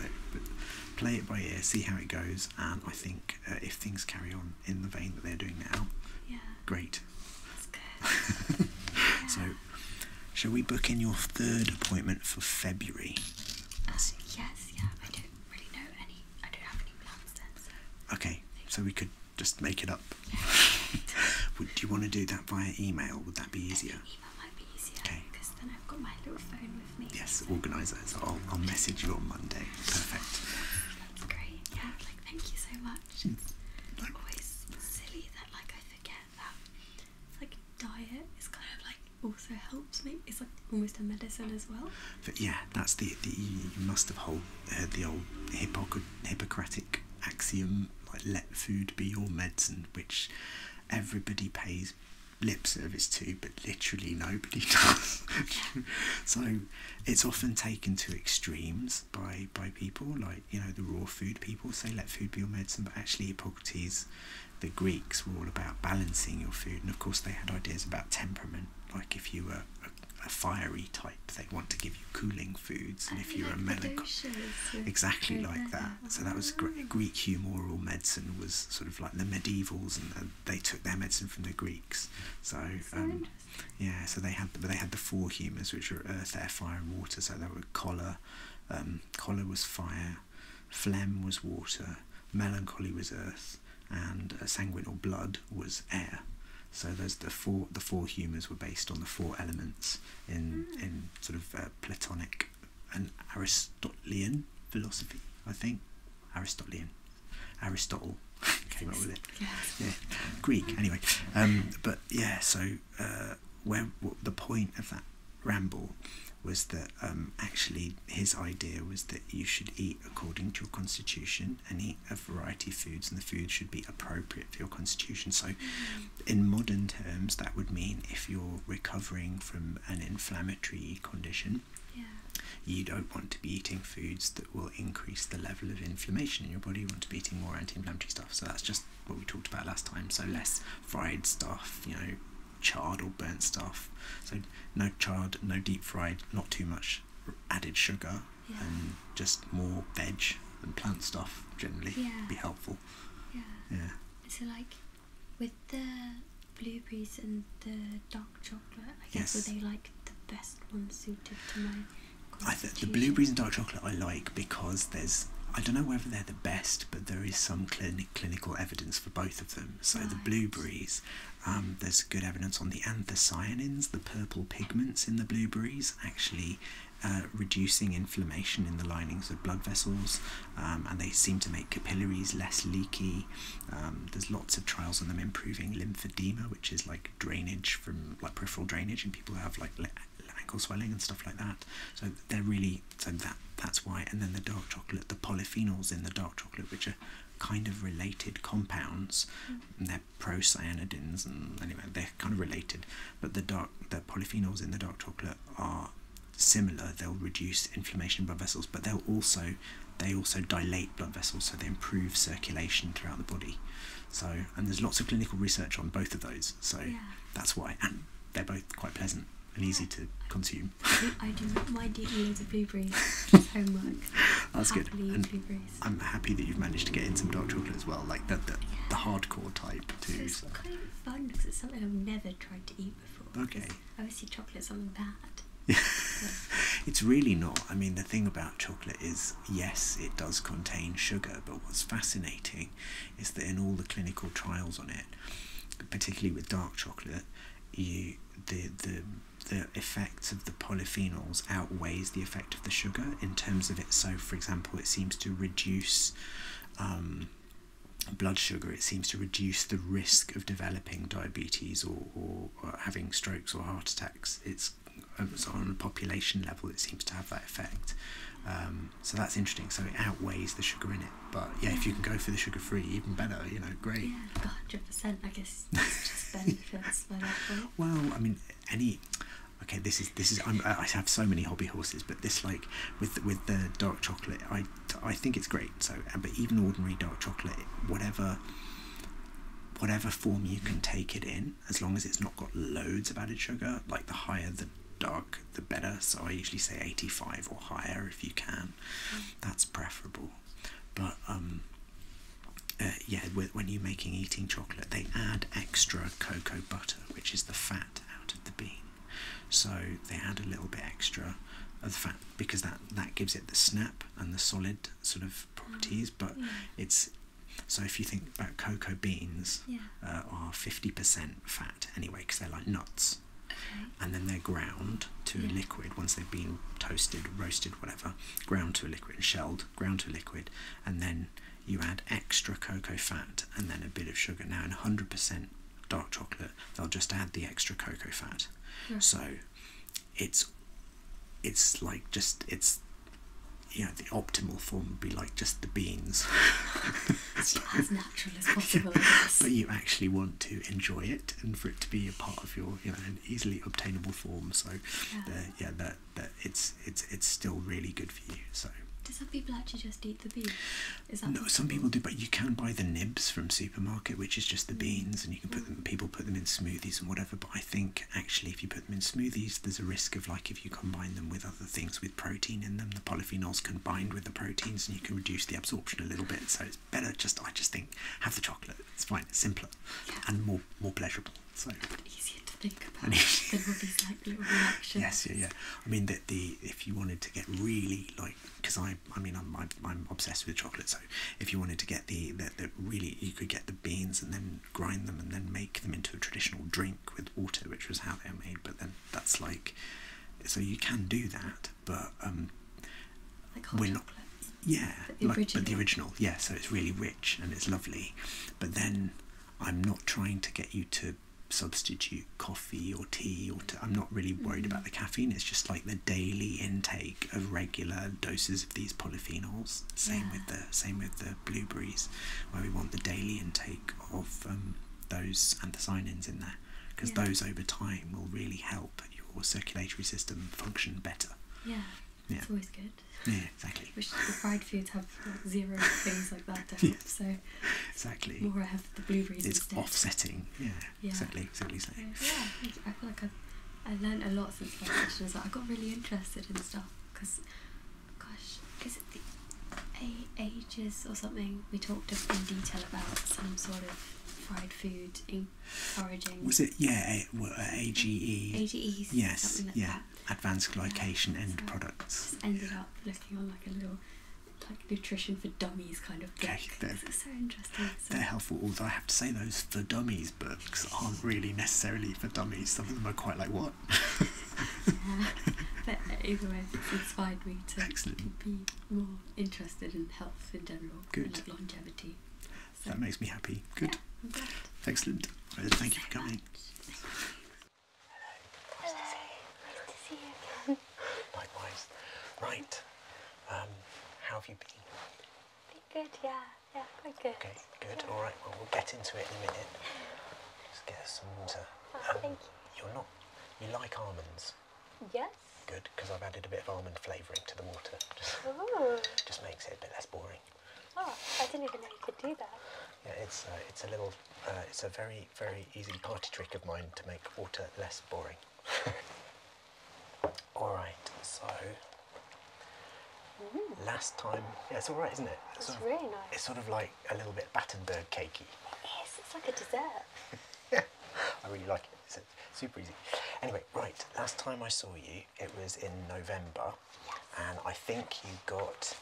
play it by ear, see how it goes, and I think uh, if things carry on in the vein that they're doing now, great. So Shall we book in your third appointment for February? yes, yeah. I don't really know any. I don't have any plans then. Okay, so we could just make it up. would you want to do that via email? Would that be easier? Email might be easier. Okay. Because then I've got my little phone with me. Yes, organise that. I'll, I'll message you on Monday. Perfect. That's great. Yeah. Like, thank you so much. Mm, it's always silly that like I forget that like diet is kind of like also helps me. It's like almost a medicine as well. But yeah, that's the, the you must have whole, heard the old Hippoc Hippocratic axiom like let food be your medicine, which everybody pays lip service to, but literally nobody does. so it's often taken to extremes by by people like you know the raw food people say let food be your medicine, but actually Hippocrates the Greeks were all about balancing your food, and of course, they had ideas about temperament. Like if you were a, fiery type, they want to give you cooling foods, and if you're a melancholic, exactly like that. So that was great. Mm. Greek humoral medicine was sort of like the medievals, and they took their medicine from the Greeks. So, um, yeah, so they had, but they had the four humors, which were earth, air, fire, and water. So there were cholera. Um, cholera was fire, phlegm was water, melancholy was earth, and uh, sanguine or blood was air. So those the four the four humours were based on the four elements in hmm. in sort of uh, Platonic and Aristotelian philosophy. I think Aristotelian, Aristotle came up with it. Yes. Greek anyway. Um, but yeah, so uh, where the point of that ramble was that um, actually his idea was that you should eat according to your constitution and eat a variety of foods, and the food should be appropriate for your constitution. So, in modern terms, that would mean if you're recovering from an inflammatory condition. Yeah. You don't want to be eating foods that will increase the level of inflammation in your body. You want to be eating more anti-inflammatory stuff. So that's just what we talked about last time. So less fried stuff, you know, charred or burnt stuff. So no charred, no deep fried, not too much added sugar, and just more veg and plant stuff generally be helpful. Yeah. Yeah. So like with the blueberries and the dark chocolate, I guess yes. were they like the best one suited to my. the blueberries and dark chocolate I like because there's I don't know whether they're best, but there is some clinic, clinical evidence for both of them. So the blueberries, um, there's good evidence on the anthocyanins, the purple pigments in the blueberries, actually uh, reducing inflammation in the linings of blood vessels, um, and they seem to make capillaries less leaky. Um, there's lots of trials on them improving lymphedema, which is like drainage from like peripheral drainage and people have like ankle swelling and stuff like that. So they're really so that that's why. And then the dark chocolate, the polyphenols in the dark chocolate, which are kind of related compounds, mm. they're procyanidins, and anyway, they're kind of related. But the dark, the polyphenols in the dark chocolate are similar. They'll reduce inflammation in blood vessels, but they'll also they also dilate blood vessels, so they improve circulation throughout the body. So, and there's lots of clinical research on both of those. So that's why, and they're both quite pleasant and easy to consume. I do not mind eating loads of blueberries. homework. That's good. I'm happy that you've managed to get in some dark chocolate as well, like the, the, the hardcore type too. It's so. kind of fun because it's something I've never tried to eat before. Okay. Obviously, chocolate's something bad. Yeah. it's really not. I mean, the thing about chocolate is, yes, it does contain sugar, but what's fascinating is that in all the clinical trials on it, particularly with dark chocolate, you the the the effects of the polyphenols outweighs the effect of the sugar in terms of it. So, for example, it seems to reduce um, blood sugar. It seems to reduce the risk of developing diabetes or, having strokes or heart attacks. It's uh, on a population level, it seems to have that effect. Um, so that's interesting. So it outweighs the sugar in it. But yeah, if you can go for the sugar free, even better. You know, great. Yeah, hundred percent. I guess just benefits Well, I mean, any. Okay, this is this is. i i have so many hobby horses, but this like with with the dark chocolate, I I think it's great. So, uh, but even ordinary dark chocolate, whatever whatever form you can take it in, as long as it's not got loads of added sugar, like the higher the dark the better. So I usually say 85 or higher if you can. Mm. That's preferable. But um, uh, yeah, when you're making eating chocolate, they add extra cocoa butter, which is the fat out of the bean. So they add a little bit extra of the fat because that that gives it the snap and the solid sort of properties. Mm. But it's so if you think about cocoa beans uh, are 50% fat anyway because they're like nuts and then they're ground to a liquid once they've been toasted, roasted, whatever, ground to a liquid, shelled, ground to a liquid, and then you add extra cocoa fat and then a bit of sugar. Now, in 100% dark chocolate, they'll just add the extra cocoa fat. So it's it's like just it's you know the optimal form would be like just the beans. as possible. but you actually want to enjoy it and for it to be a part of your, you know, an easily obtainable form. So, yeah, that that it's it's it's still really good for you. So. Do some people actually just eat the beans? Is that no, some people do, but you can buy the nibs from supermarket, which is just the mm. beans, and you can put them. Mm. People put them in smoothies and whatever. But I think actually, if you put them in smoothies, there's a risk of like if you combine them with other things with protein in them, the polyphenols can bind with the proteins, and you can reduce the absorption a little bit. So it's better just I just think have the chocolate. It's fine, it's simpler and more more pleasurable. So easier to think about than all these like little reactions. Yes, yeah, yeah. I mean that the if you wanted to get really like because I I mean I'm, I'm obsessed with chocolate, so if you wanted to get the the really you could get the beans and then grind them and then make them into a traditional drink with water, which was how they were made. But then that's like so you can do that, but um, we're not. Yeah, but the original. Yeah, so it's really rich and it's lovely, but then I'm not trying to get you to substitute coffee or tea or i I'm not really worried about mm. the caffeine. It's just like the daily intake of regular doses of these polyphenols. Same with the same with the blueberries, where we want the daily intake of those um, those anthocyanins in there because those over time will really help your circulatory system function better. Yeah. Yeah. It's always good. Yeah, exactly. Which the fried foods have zero things like that, don't yeah. So exactly. More I have the blueberries. It's offsetting. Yeah. yeah. Exactly. Exactly. yeah, I feel like I've I learned a lot since that session. Like I got really interested in stuff because, gosh, is it the A A or something, we talked in detail about some sort of fried food encouraging. Was it, yeah, a, uh, Yes, yeah. Advanced glycation end products. ended up looking on like a little like nutrition for dummies kind of book. Okay, they're, so interesting. They're helpful, although I have to say those for dummies books aren't really necessarily for dummies. Some of them are quite like what. yeah, but either way, inspired me to be more interested in health in general. longevity. that makes me happy. Good. Excellent. thank, you for coming. Hello. Hello. to see you. again. Likewise. Right. Um, how have you been? Been good, yeah. Yeah, quite good. Okay, good. All right. Well, we'll get into it in a minute. Just get some water. Oh, um, thank you. You're not. You like almonds. Yes, good because I've added a bit of almond flavouring to the water. Oh. Just, makes it a bit less boring. Oh, I didn't even know you could do that. Yeah, it's uh, it's a little, uh, it's a very very easy party trick of mine to make water less boring. all right, so mm. last time, yeah, it's all right, isn't it? It's, really nice. It's sort of like a little bit Battenberg cakey. Yes, It's like a dessert. I really like it. It's super easy. Anyway, right, last time I saw you, it was in November, and I think you got,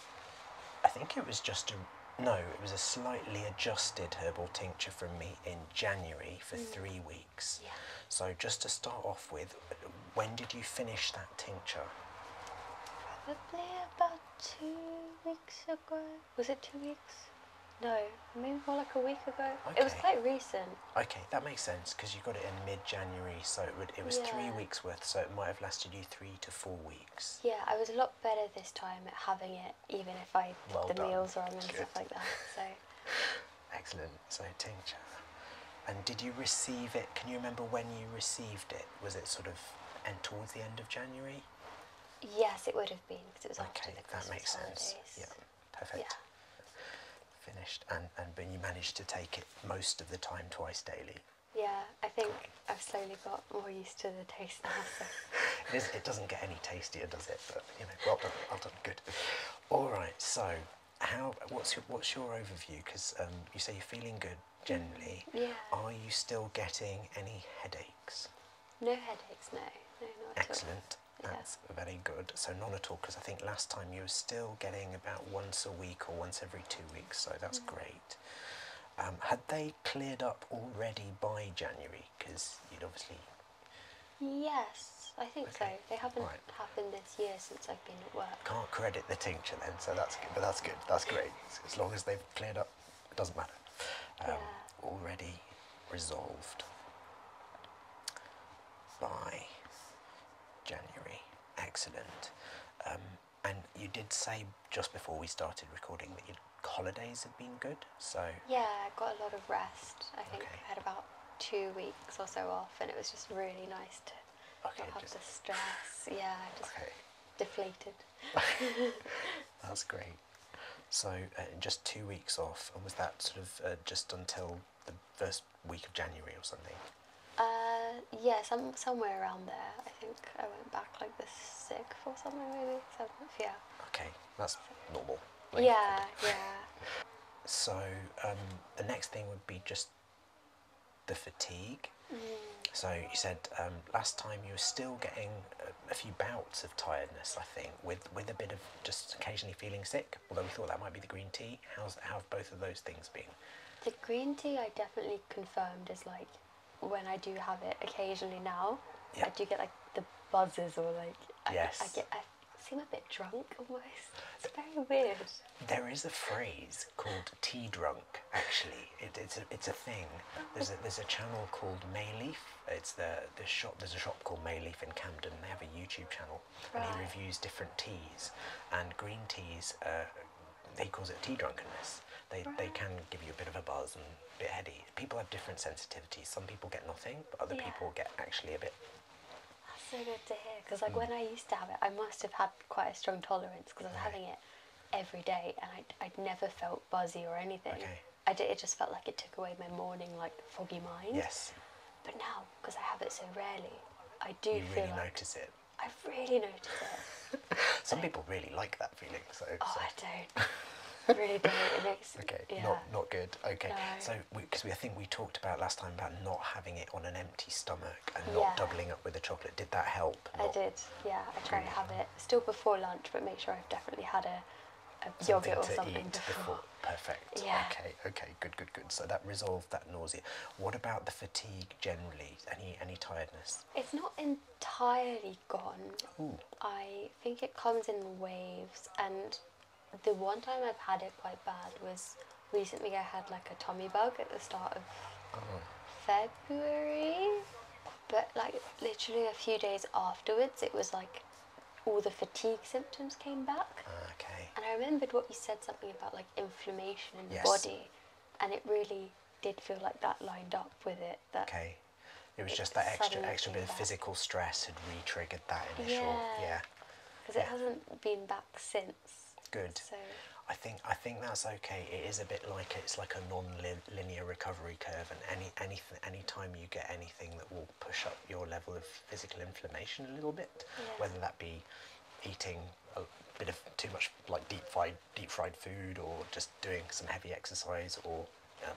I think it was just a, no, it was a slightly adjusted herbal tincture from me in January for mm. three weeks. Yeah. So just to start off with, when did you finish that tincture? Probably about two weeks ago. Was it two weeks? No, maybe more like a week ago. Okay. It was quite recent. Okay, that makes sense because you got it in mid-January, so it would, it was three weeks worth, so it might have lasted you three to four weeks. Yeah, I was a lot better this time at having it, even if I well the done. meals wrong and stuff like that. So. Excellent. So tincture. And did you receive it? Can you remember when you received it? Was it sort of and towards the end of January? Yes, it would because it was okay, that makes sense. Yeah, perfect. Yeah. Finished, and and but you managed to take it most of the time twice daily. Yeah, I think I've slowly got more used to the taste now. it, is, it doesn't get any tastier, does it? But you know, well done, well done, good. All right, so how? What's your, what's your overview? Because um, you say you're feeling good generally. Mm, yeah. Are you still getting any headaches? No headaches, no. no not Excellent. At all. That's yeah. very good. So none at all, because I think last time you were still getting about once a week or once every two weeks, so that's mm. great. Um, had they cleared up already by January? Because you'd obviously. Yes, I think so. They haven't happened this year since I've been at work. Can't credit the tincture then, so that's good. But that's good. That's great. As long as they've cleared up it doesn't matter. Um, already resolved by January. Excellent. Um, and you did say just before we started recording that your holidays have been good, so. Yeah, I got a lot of rest. I think I had about two weeks or so off, and it was just really nice to okay, not have the stress. yeah, just deflated. That's great. So uh, just two weeks off, and was that sort of uh, just until the first week of January or something? Uh, yeah, some somewhere around there. I think I went back like the sixth or something, maybe seventh. Yeah. Okay, that's normal. yeah, yeah. so um, the next thing would be just the fatigue. Mm. So you said um, last time you were still getting a few bouts of tiredness, I think, with with a bit of just occasionally feeling sick. Although we thought that might be the green tea. How's how have both of those things been? The green tea I definitely confirmed is like when I do have it occasionally now, I do get like the buzzes or like I, get I seem a bit drunk almost. It's very weird. There is a phrase called tea drunk. Actually, it's a it's a thing. There's a there's a channel called Mayleaf it's the the shop. There's a shop called Mayleaf in Camden. They have a YouTube channel, and he reviews different teas. And green teas, he calls it tea drunkenness. They they can give you a bit of a buzz and a bit heady. People have different sensitivities. Some people get nothing, but other people get actually a bit That's so good to hear because like mm. when I used to have it, I must have had quite a strong tolerance because I was having it every day and I'd, I'd never felt buzzy or anything. Okay. I did, it just felt like it took away my morning like foggy mind. Yes. But now, because I have it so rarely, I do feel really notice it. I really notice it. Some people really like that feeling. So. Oh, I don't. really don't. It makes. Okay. Not not good. Okay. So because we, I think we talked about last time about not having it on an empty stomach and not doubling up with a chocolate. Did that help? I did. Yeah. I try to have it still before lunch, but make sure I've definitely had a a yogurt or something before. before. Perfect. Yeah. Okay. Okay. Good. Good. Good. So that resolved that nausea. What about the fatigue generally? Any any tiredness? It's not entirely gone. Ooh. I think it comes in waves. And the one time I've had it quite bad was recently. I had like a tummy bug at the start of oh. February, but like literally a few days afterwards, it was like all the fatigue symptoms came back. Ah, okay. And I remembered what you said something about like inflammation in the body, and it really did feel like that lined up with it. okay. It was just that extra extra bit of physical stress had re-triggered that initial yeah. Because it hasn't been back since. Good. So. I think I think that's okay. It is a bit like it's like a non-linear recovery curve, and any anything any time you get anything that will push up your level of physical inflammation a little bit, whether that be eating a bit of too much like deep fried deep fried food or just doing some heavy exercise or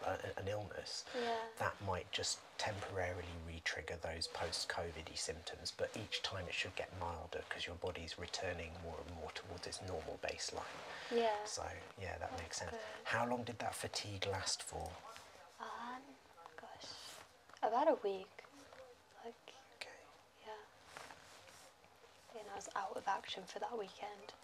uh, an illness yeah. that might just temporarily re-trigger those post-covid symptoms but each time it should get milder because your body's returning more and more towards its normal baseline yeah so yeah, that makes sense. How long did that fatigue last for? Um, gosh, about a week. Like, yeah. And I was out of action for that weekend.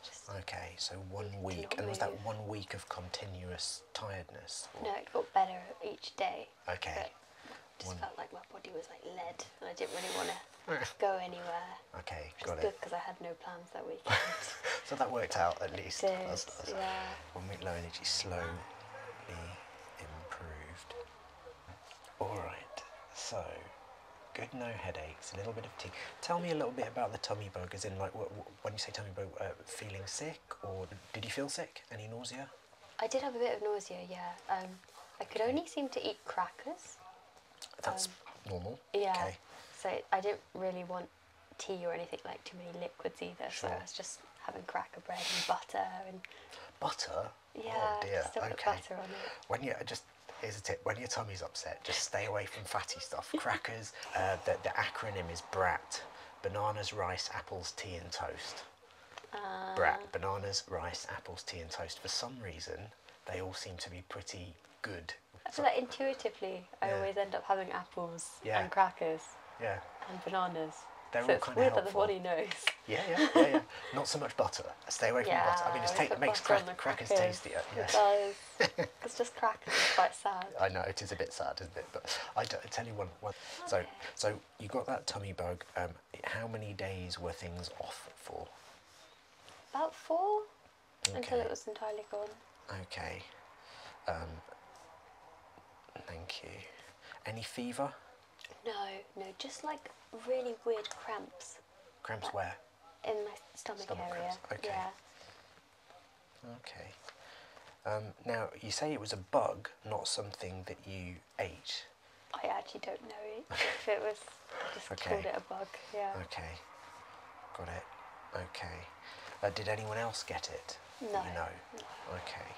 okay, so one week. And was that one week of continuous tiredness? No, it got better each day. Okay. Just felt like my body was like lead, and I didn't really want to go anywhere. Okay, got it. Good because I had no plans that week. so that worked out at least. It did, yeah. We'll low energy slowly improved. Alright, so good no headaches, a little bit of tea. Tell me a little bit about the tummy bug, as in like when you say tummy bug, uh, feeling sick or did you feel sick? Any nausea? I did have a bit of nausea, yeah. Um, I could only seem to eat crackers. That's um, normal. Yeah. So I didn't really want tea or anything like too many liquids either, so I was just having cracker bread and butter and butter. Oh, yeah, oh dear. Just butter on it. When you just here's a tip: when your tummy's upset, just stay away from fatty stuff. Crackers. Uh, the, the acronym is BRAT: bananas, rice, apples, tea, and toast. Uh. Brat, bananas, rice, apples, tea, and toast. For some reason, they all seem to be pretty good I feel like intuitively, I always end up having apples and crackers. And bananas. They're so all that the body knows. Yeah, yeah, yeah, Not so much butter. stay away from butter. I mean, it makes crackers, tastier. Yes. does. it's just crackers. It's quite sad. I know it is a bit sad, isn't it? But I, I tell you one. one. So, so you got that tummy bug. Um, how many days were things off for? About four until it was entirely gone. Okay. Um, thank you. Any fever? No, no, just like really weird cramps. Cramps where? In my stomach, area. Okay. Okay. Um, now, you say it was a bug, not something that you ate. I actually don't know if it was. I just called it a bug. Yeah. Okay. Got it. Okay. Uh, did anyone else get it? No. You know? Okay.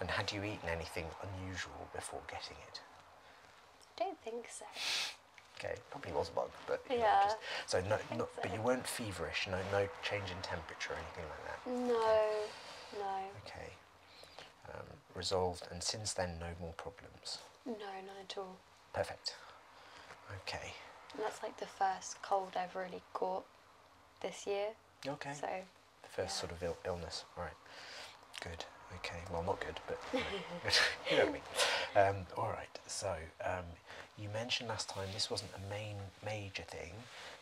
And had you eaten anything unusual before getting it? I don't think so. Okay, probably was bug, but yeah. just, so no, but you weren't feverish. No, no change in temperature or anything like that. No, no. Okay, um, resolved, and since then, no more problems. No, not at all. Perfect. Okay. that's like the first cold I've really caught this year. Okay. So. first sort of illness, All right, Good. Okay. Well, not good, but you know, what Um, all right. So um, you mentioned last time this wasn't a main major thing,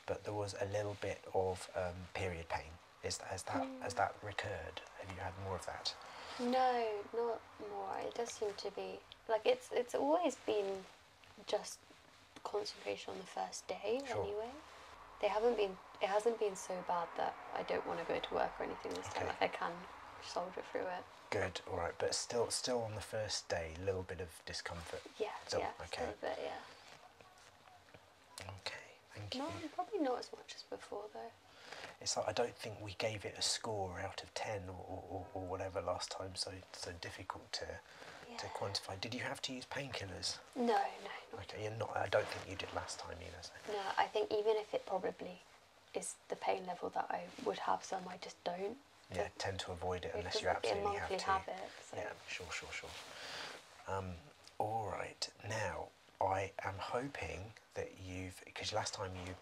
but there was a little bit of um, period pain. Is has that hmm. has that recurred? Have you had more of that? No, not more. It does seem to be like it's it's always been just concentration on the first day anyway. They haven't been. It hasn't been so bad that I don't want to go to work or anything this time. Like I can soldier through it. Good. All right, but still, still on the first day, little bit of discomfort. Yeah. Still, yeah. Okay. Still Yeah. no, probably not as much as before though. It's like I don't think we gave it a score out of ten or, or, or whatever last time. So so difficult doctor to quantify. Did you have to use painkillers? No, no. okay, you're not. I don't think you did last time either. No, I think even if it probably is the pain level that I would have, some I just don't. Yeah, tend to avoid it unless you absolutely have to. Yeah, sure, sure, sure. Um, all right, now I am hoping that you've because last time you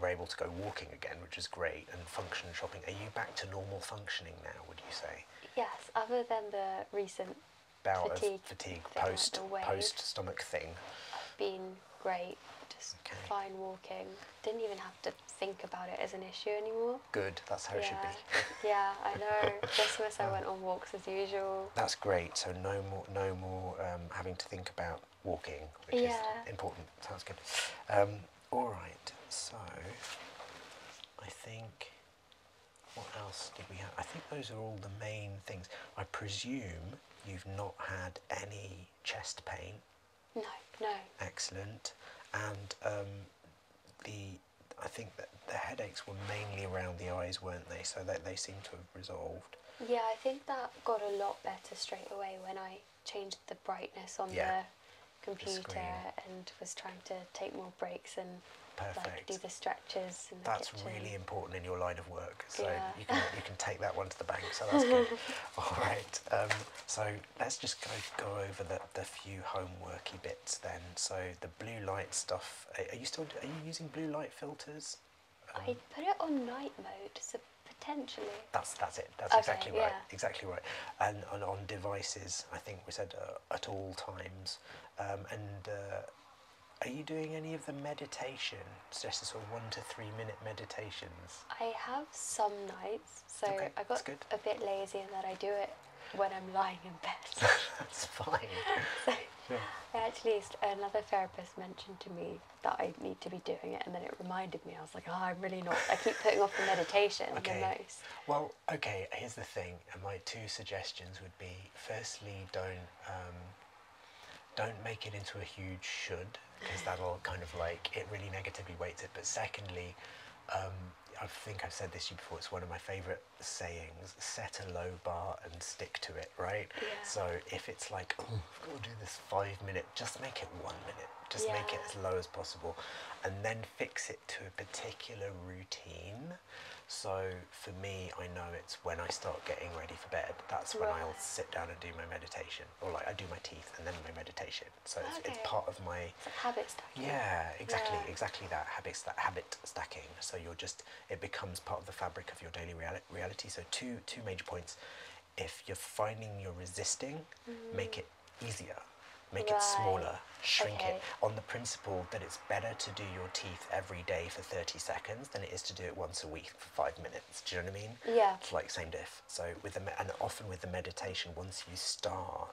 we're able to go walking again, which is great, and function shopping. Are you back to normal functioning now, would you say? Yes, other than the recent bout fatigue, of fatigue post, post stomach thing. been great, just fine walking. Didn't even have to think about it as an issue anymore. Good, that's how it should be. yeah, I know. Christmas um, I oh. went on walks as usual. That's great, so no more, no more um, having to think about walking, which is important. Sounds good. Um, Alright, so I think what else did we have? I think those are all the main things. I presume you've not had any chest pain. No, no. Excellent. And um, the I think that the headaches were mainly around the eyes, weren't they? So that they seem to have resolved. Yeah, I think that got a lot better straight away when I changed the brightness on the computer and was trying to take more breaks and like do the stretches. In the that's kitchen. really important in your line of work. So you can you can take that one to the bank. So that's good. All right. Um, so let's just go go over the, the few homeworky bits then. So the blue light stuff. Are, you still are you using blue light filters? I um, put it on night mode. Potentially. That's that's it. That's exactly right. Exactly right. And, on devices, I think we said uh, at all times. Um, and uh, are you doing any of the meditation? It's just sort of one to three minute meditations. I have some nights, so I got a bit lazy in that I do it when I'm lying in bed. that's fine. so yeah. I actually, another therapist mentioned to me that I need to be doing it, and then it reminded I was like, oh, I'm really not. I keep putting off the meditation okay. Well, okay, here's the thing. My two suggestions would be firstly, don't. Um, don't make it into a huge should because that'll kind of like it really negatively weights it. But secondly, um, I think I've said this to you before, it's one of my favorite sayings set a low bar and stick to it, right? Yeah. So if it's like, oh, I've got to do this five minutes just make it one minute. Just make it as low as possible and then fix it to a particular routine. So for me, I know it's when I start getting ready for bed. That's when I'll sit down and do my meditation, or like I do my teeth and then my meditation. So it's, part of my habits. Yeah, exactly, exactly that habit sta- habit stacking. So you're just it becomes part of the fabric of your daily reality. So two two major points. If you're finding you're resisting, make mm. it easier. Make it smaller, shrink it on the principle that it's better to do your teeth every day for 30 seconds than it is to do it once a week for five minutes. Do you know what I mean? Yeah. It's like same diff. So with the and often with the meditation, once you start,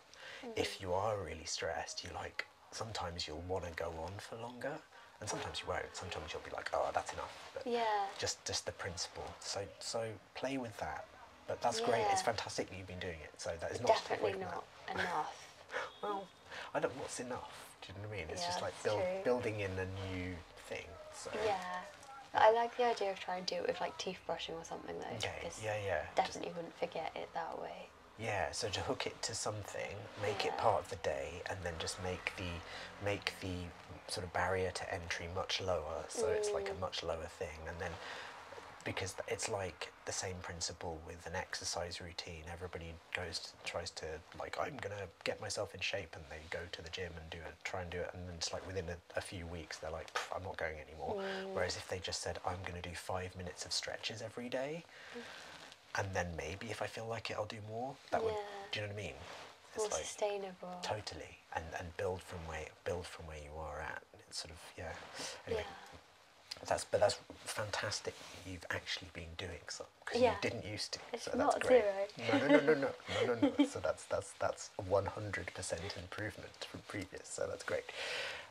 if mm-hmm. you are really stressed, you like sometimes you'll want to go on for longer and sometimes you won't sometimes you'll be like oh that's enough yeah just just the principle so so play with that. But that's great. It's fantastic that you've been doing it. So that is not definitely not enough. well, I don't. What's enough? Do you know what I mean? It's just like building in a new thing. So. Yeah. I like the idea of trying to do it with like teeth brushing or something though. Okay. Yeah, yeah. Definitely wouldn't forget it that way. Yeah, so to hook it to something, make it part of the day, and then just make the make the sort of barrier to entry much lower, so it's like a mm. much lower thing, and then because it's like the same principle with an exercise routine. Everybody goes tries to like I'm gonna get myself in shape, and they go to the gym and do it, try and do it, and then it's like within a, few weeks they're like I'm not going anymore. Mm. Whereas if they just said I'm gonna do five minutes of stretches every day, mm. and then maybe if I feel like it I'll do more. That would do you know what I mean? It's more like, sustainable. Totally, and and build from where way build from where you are at it's sort of yeah anyway yeah. That's but that's fantastic. You've actually been doing something because yeah. you didn't used to. It's so that's not great. zero. No, no, no, no, no, no, no. no. so that's that's that's one hundred percent improvement from previous. So that's great.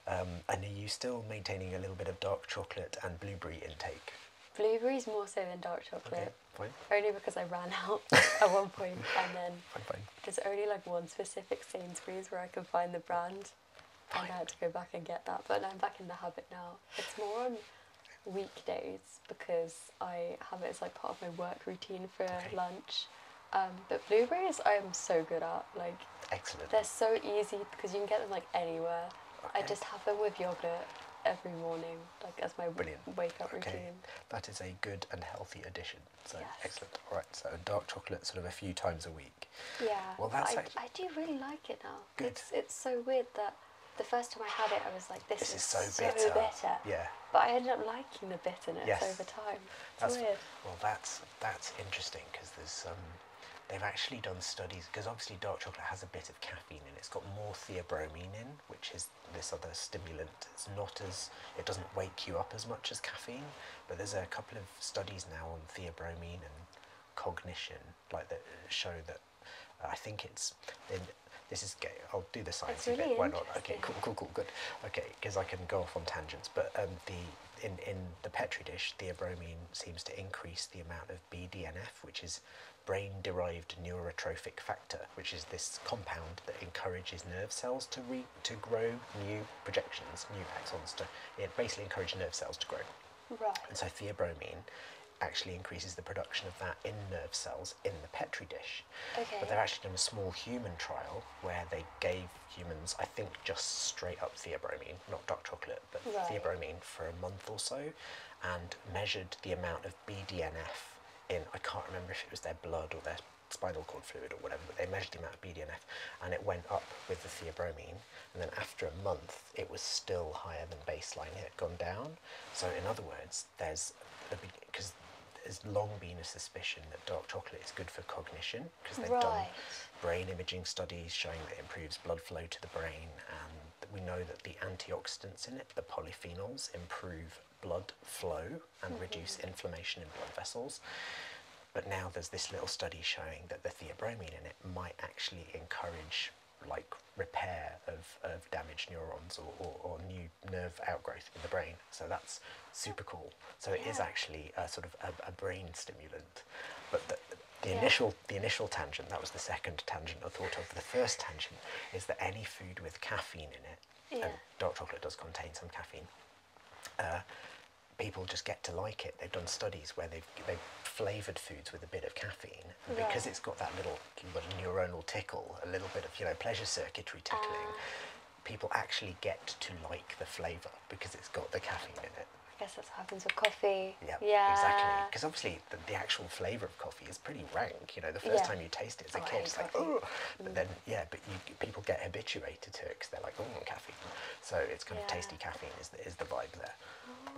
Um, and are you still maintaining a little bit of dark chocolate and blueberry intake? Blueberries more so than dark chocolate. Okay, fine. Only because I ran out at one point and then fine, fine. There's only like one specific Sainsbury's where I can find the brand, and I had to go back and get that. But I'm back in the habit now. It's more on weekdays because I have it as like part of my work routine for lunch. Um, but blueberries, I am so good at. Like, excellent. They're so easy because you can get them like anywhere. I just have them with yogurt every morning, like as my Brilliant. wake up routine. That is a good and healthy addition. So excellent. All right. So dark chocolate, sort of a few times a week. Yeah. Well, that's. I, do really like it now. Good. It's so weird that the first time I had it, I was like, "This, is, so, bitter. Yeah. But I ended up liking the bitterness over time. that's, weird. Well, that's that's interesting because there's um, they've actually done studies because obviously dark chocolate has a bit of caffeine in it. It's got more theobromine in, which is this other stimulant it's not as it doesn't wake you up as much as caffeine, but there's a couple of studies now on theobromine and cognition, like that show that uh, I think it's in. This is gay. I'll do the science really bit. Why not? Okay, cool, cool, cool, good. Okay, because I can go off on tangents. But um, the in in the petri dish, theobromine seems to increase the amount of BDNF, which is brain-derived neurotrophic factor, which is this compound that encourages nerve cells to re to grow new projections, new axons. To, it basically encourages nerve cells to grow. Right. And so theobromine actually increases the production of that in nerve cells in the petri dish. Okay. But they've actually done a small human trial where they gave humans, I think, just straight up theobromine, not dark chocolate, but theobromine for a month or so, and measured the amount of BDNF in I can't remember if it was their blood or their spinal cord fluid or whatever, but they measured the amount of BDNF and it went up with the theobromine. And then after a month, it was still higher than baseline. It had gone down. So in other words, there's because there's long been a suspicion that dark chocolate is good for cognition because they've done brain imaging studies showing that it improves blood flow to the brain and we know that the antioxidants in it, the polyphenols, improve blood flow and reduce inflammation in blood vessels. But now there's this little study showing that the theobromine in it might actually encourage like repair of, of damaged neurons or, or, new nerve outgrowth in the brain. So that's super cool. So it is actually a sort of a, brain stimulant. But the, initial the initial tangent, that was the second tangent I thought of. The first tangent is that any food with caffeine in it, and dark chocolate does contain some caffeine, uh, people just get to like it. They've done studies where they've, they've flavored foods with a bit of caffeine because it's got that little, neuronal tickle, a little bit of you know pleasure circuitry tickling. Ah. people actually get to like the flavor because it's got the caffeine in it. I guess that's what happens with coffee. Yep, yeah, exactly. Because obviously the, the, actual flavor of coffee is pretty rank. You know, the first time you taste it oh, it's like oh, but then yeah, but people get habituated to it because they're like, oh, caffeine. So it's kind of tasty caffeine is the, is the vibe there.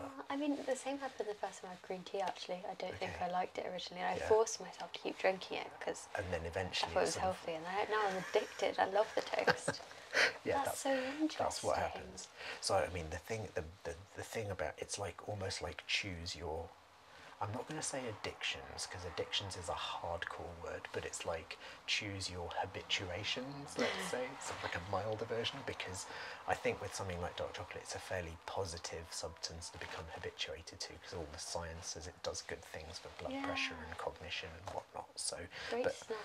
Ah, I mean, the same happened the first time I had green tea. Actually, I don't think I liked it originally, and I forced myself to keep drinking it because. And then eventually. I thought it was healthy, and now I'm addicted. I love the taste. yeah, that's, that's, so interesting. That's what happens. So I mean, the thing, the, the the thing about it's like almost like choose your I'm not going to say addictions because addictions is a hardcore word, but it's like choose your habituations, let's say, like a milder version, because I think with something like dark chocolate, it's a fairly positive substance to become habituated to, because all the sciences it does good things for blood pressure and cognition and whatnot. So, Great but snack.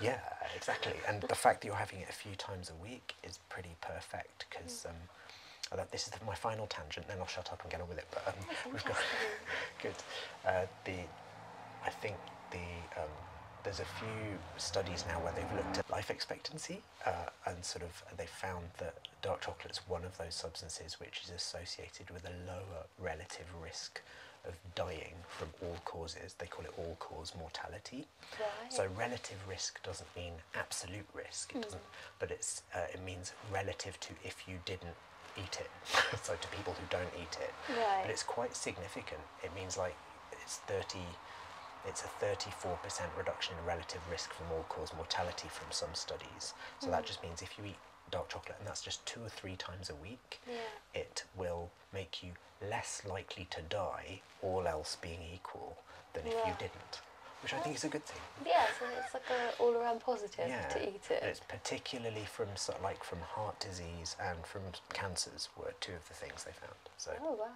yeah, exactly. And the fact that you're having it a few times a week is pretty perfect, because. Mm. Um, this is my final tangent, then I'll shut up and get on with it. But um, oh, we've got good. Uh, the, I think the, um, there's a few studies now where they've looked at life expectancy uh, and sort of they found that dark chocolate is one of those substances which is associated with a lower relative risk of dying from all causes. They call it all cause mortality. Right. So relative risk doesn't mean absolute risk. It hmm. doesn't, but it's uh, it means relative to if you didn't eat it. so to people who don't eat it, but it's quite significant. It means like it's thirty. It's a 34% reduction in relative risk for all-cause mortality from some studies. So that mm. just means if you eat dark chocolate, and that's just two or three times a week, it will make you less likely to die, all else being equal, than if you didn't, which I think is a good thing. Yeah, so it's like an all around positive to eat it particularly from like from heart disease and from cancers were two of the things they found. So, oh wow!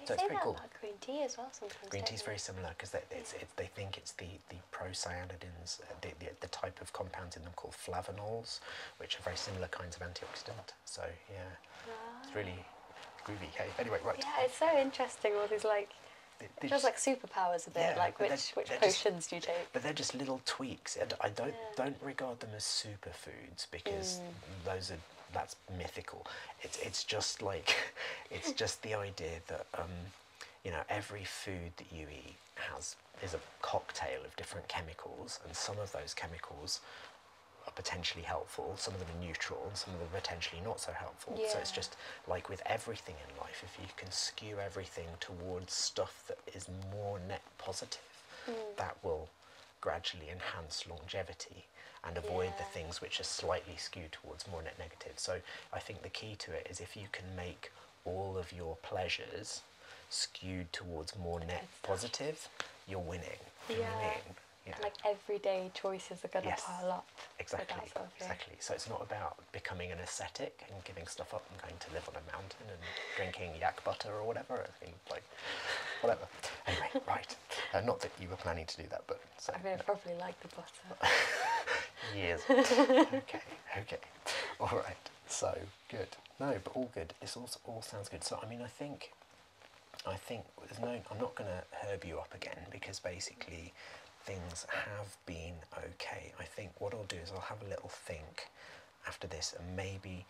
They say that about green tea as well. green tea is very similar because they, think it's the the procyanidins, uh, the, the type of compounds in them called flavonols, which are very similar kinds of antioxidant. So yeah, it's really groovy. anyway, right. Yeah, it's so interesting. All these like. It feels like superpowers a bit, like which, which potions do you take? but they're just little tweaks, and I don't don't regard them as superfoods because mm. those are that's mythical. It's it's just like it's just the idea that um, you know every food that you eat has is a cocktail of different chemicals, and some of those chemicals are potentially helpful, some of them are neutral, and some of them are potentially not so helpful. So it's just like with everything in life, if you can skew everything towards stuff that is more net positive, hmm. that will gradually enhance longevity and avoid the things which are slightly skewed towards more net negative. So I think the key to it is if you can make all of your pleasures skewed towards more net positive, you're winning. yeah. Like everyday choices are going to pile up. Exactly. exactly. So it's not about becoming an ascetic and giving stuff up and going to live on a mountain and drinking yak butter or whatever. I mean, like, whatever. Anyway, right. Uh, not that you were planning to do that, but so, I mean, I probably like the butter. Years. okay. Okay. All right. So good. No, but all good. This all all sounds good. So I mean, I think. I think there's no. I'm not going to herb you up again because basically things have been okay. I think what I'll do is I'll have a little think after this and maybe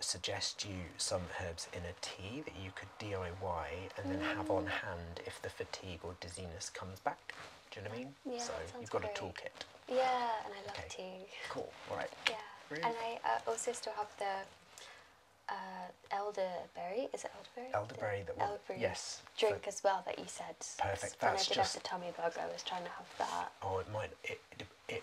suggest you some herbs in a tea that you could DIY and then have on mm. hand if the fatigue or dizziness comes back. Do you know what I mean? Yeah, so you've got a toolkit. Yeah, and I love tea. Cool, all right. Yeah, really? and I uh, also still have the uh, elderberry. Is it elderberry? Elderberry the that yes. Drink as well that you said. Perfect. That's when I did just have the tummy bug, I was trying to have that or oh, it might. It,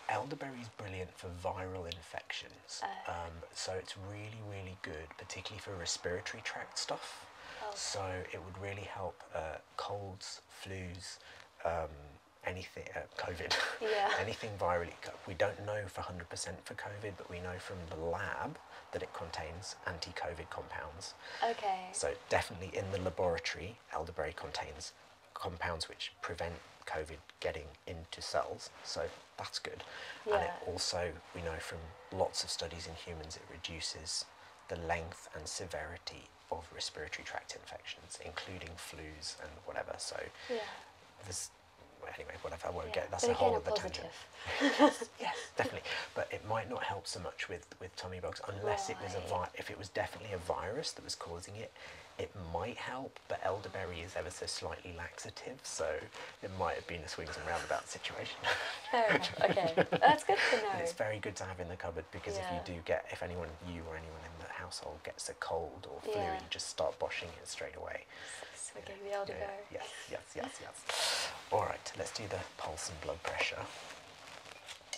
elderberry is brilliant for viral infections, oh. um, so it's really really good, particularly for respiratory tract stuff. Oh. So it would really help uh, colds, flus, um, anything, uh, COVID, anything viral. We don't know for hundred percent for COVID, but we know from the lab that it contains anti-COVID compounds. Okay. So definitely in the laboratory, elderberry contains compounds which prevent COVID getting into cells, so that's good. Yeah. And it also, we know from lots of studies in humans, it reduces the length and severity of respiratory tract infections, including flus and whatever. So yeah. there's anyway, whatever, I won't get that's a whole other tangent. yes, definitely. But it might not help so much with with tummy bugs unless it was a vi if it was definitely a virus that was causing it it might help but elderberry is ever so slightly laxative so it might have been a swings and roundabouts situation okay that's good to know and it's very good to have in the cupboard because if you do get if anyone you or anyone in the household gets a cold or flu you just start boshing it straight away so we gave elderberry yes yes yes yes all right let's do the pulse and blood pressure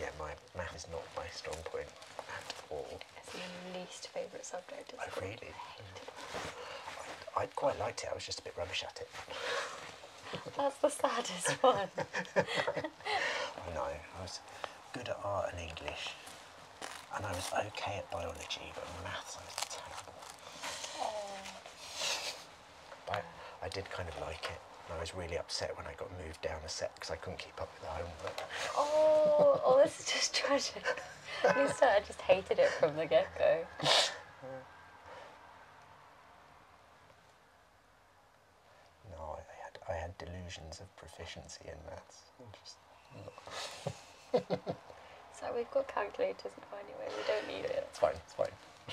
yeah, my math is not my strong point at all. It's my least favourite subject. I oh, really. I, quite liked it. I was just a bit rubbish at it. That's the saddest one. I know. I was good at art and English, and I was okay at biology, but maths I was terrible. But I did kind of like it. I was really upset when I got moved down a set because I couldn't keep up with the homework. Oh, oh, this is just tragic. At least I just hated it from the get go. No, I, had I had delusions of proficiency in maths. so we've got calculators now anyway. We don't need it. It's fine. It's fine.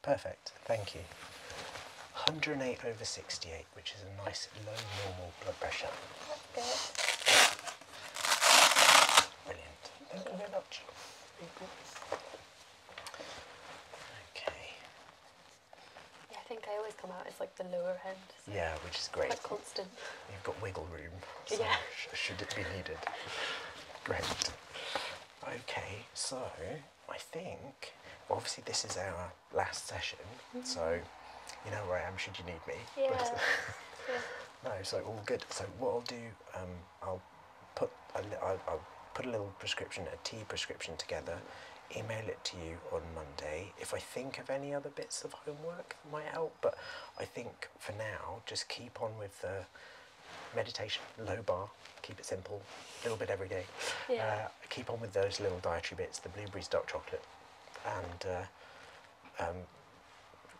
Perfect, thank you. 108 over 68, which is a nice low normal blood pressure. Brilliant. Thank you very much. Okay. Yeah, I think I always come out It's like the lower end. yeah, which is great. constant. You've got wiggle room. yeah. should it be needed? great. Okay, so I think obviously this is our last session, mm-hmm. so you know where I am should you need me. Yeah. yeah. No, so all good. So what I'll do, um, I'll put I'll put a little prescription, a tea prescription together, email it to you on Monday. If I think of any other bits of homework might help, but I think for now, just keep on with the meditation, low bar, keep it simple, a little bit every day. Yeah. Uh, keep on with those little dietary bits, the blueberries, dark chocolate, and uh, um,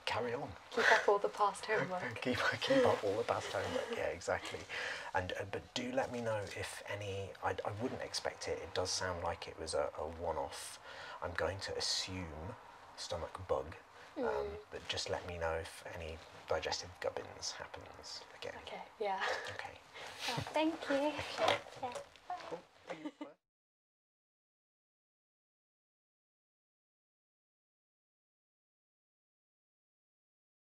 carry on. Keep up all the past homework. keep, keep up all the past homework, yeah, exactly. And, uh, do let me know if any. I, wouldn't expect it. It does sound like it was a, one-off. I'm going to assume stomach bug, um, hmm. but just let me know if any digestive gubbins happens again. Okay. Yeah. Okay. Oh, thank you. yeah.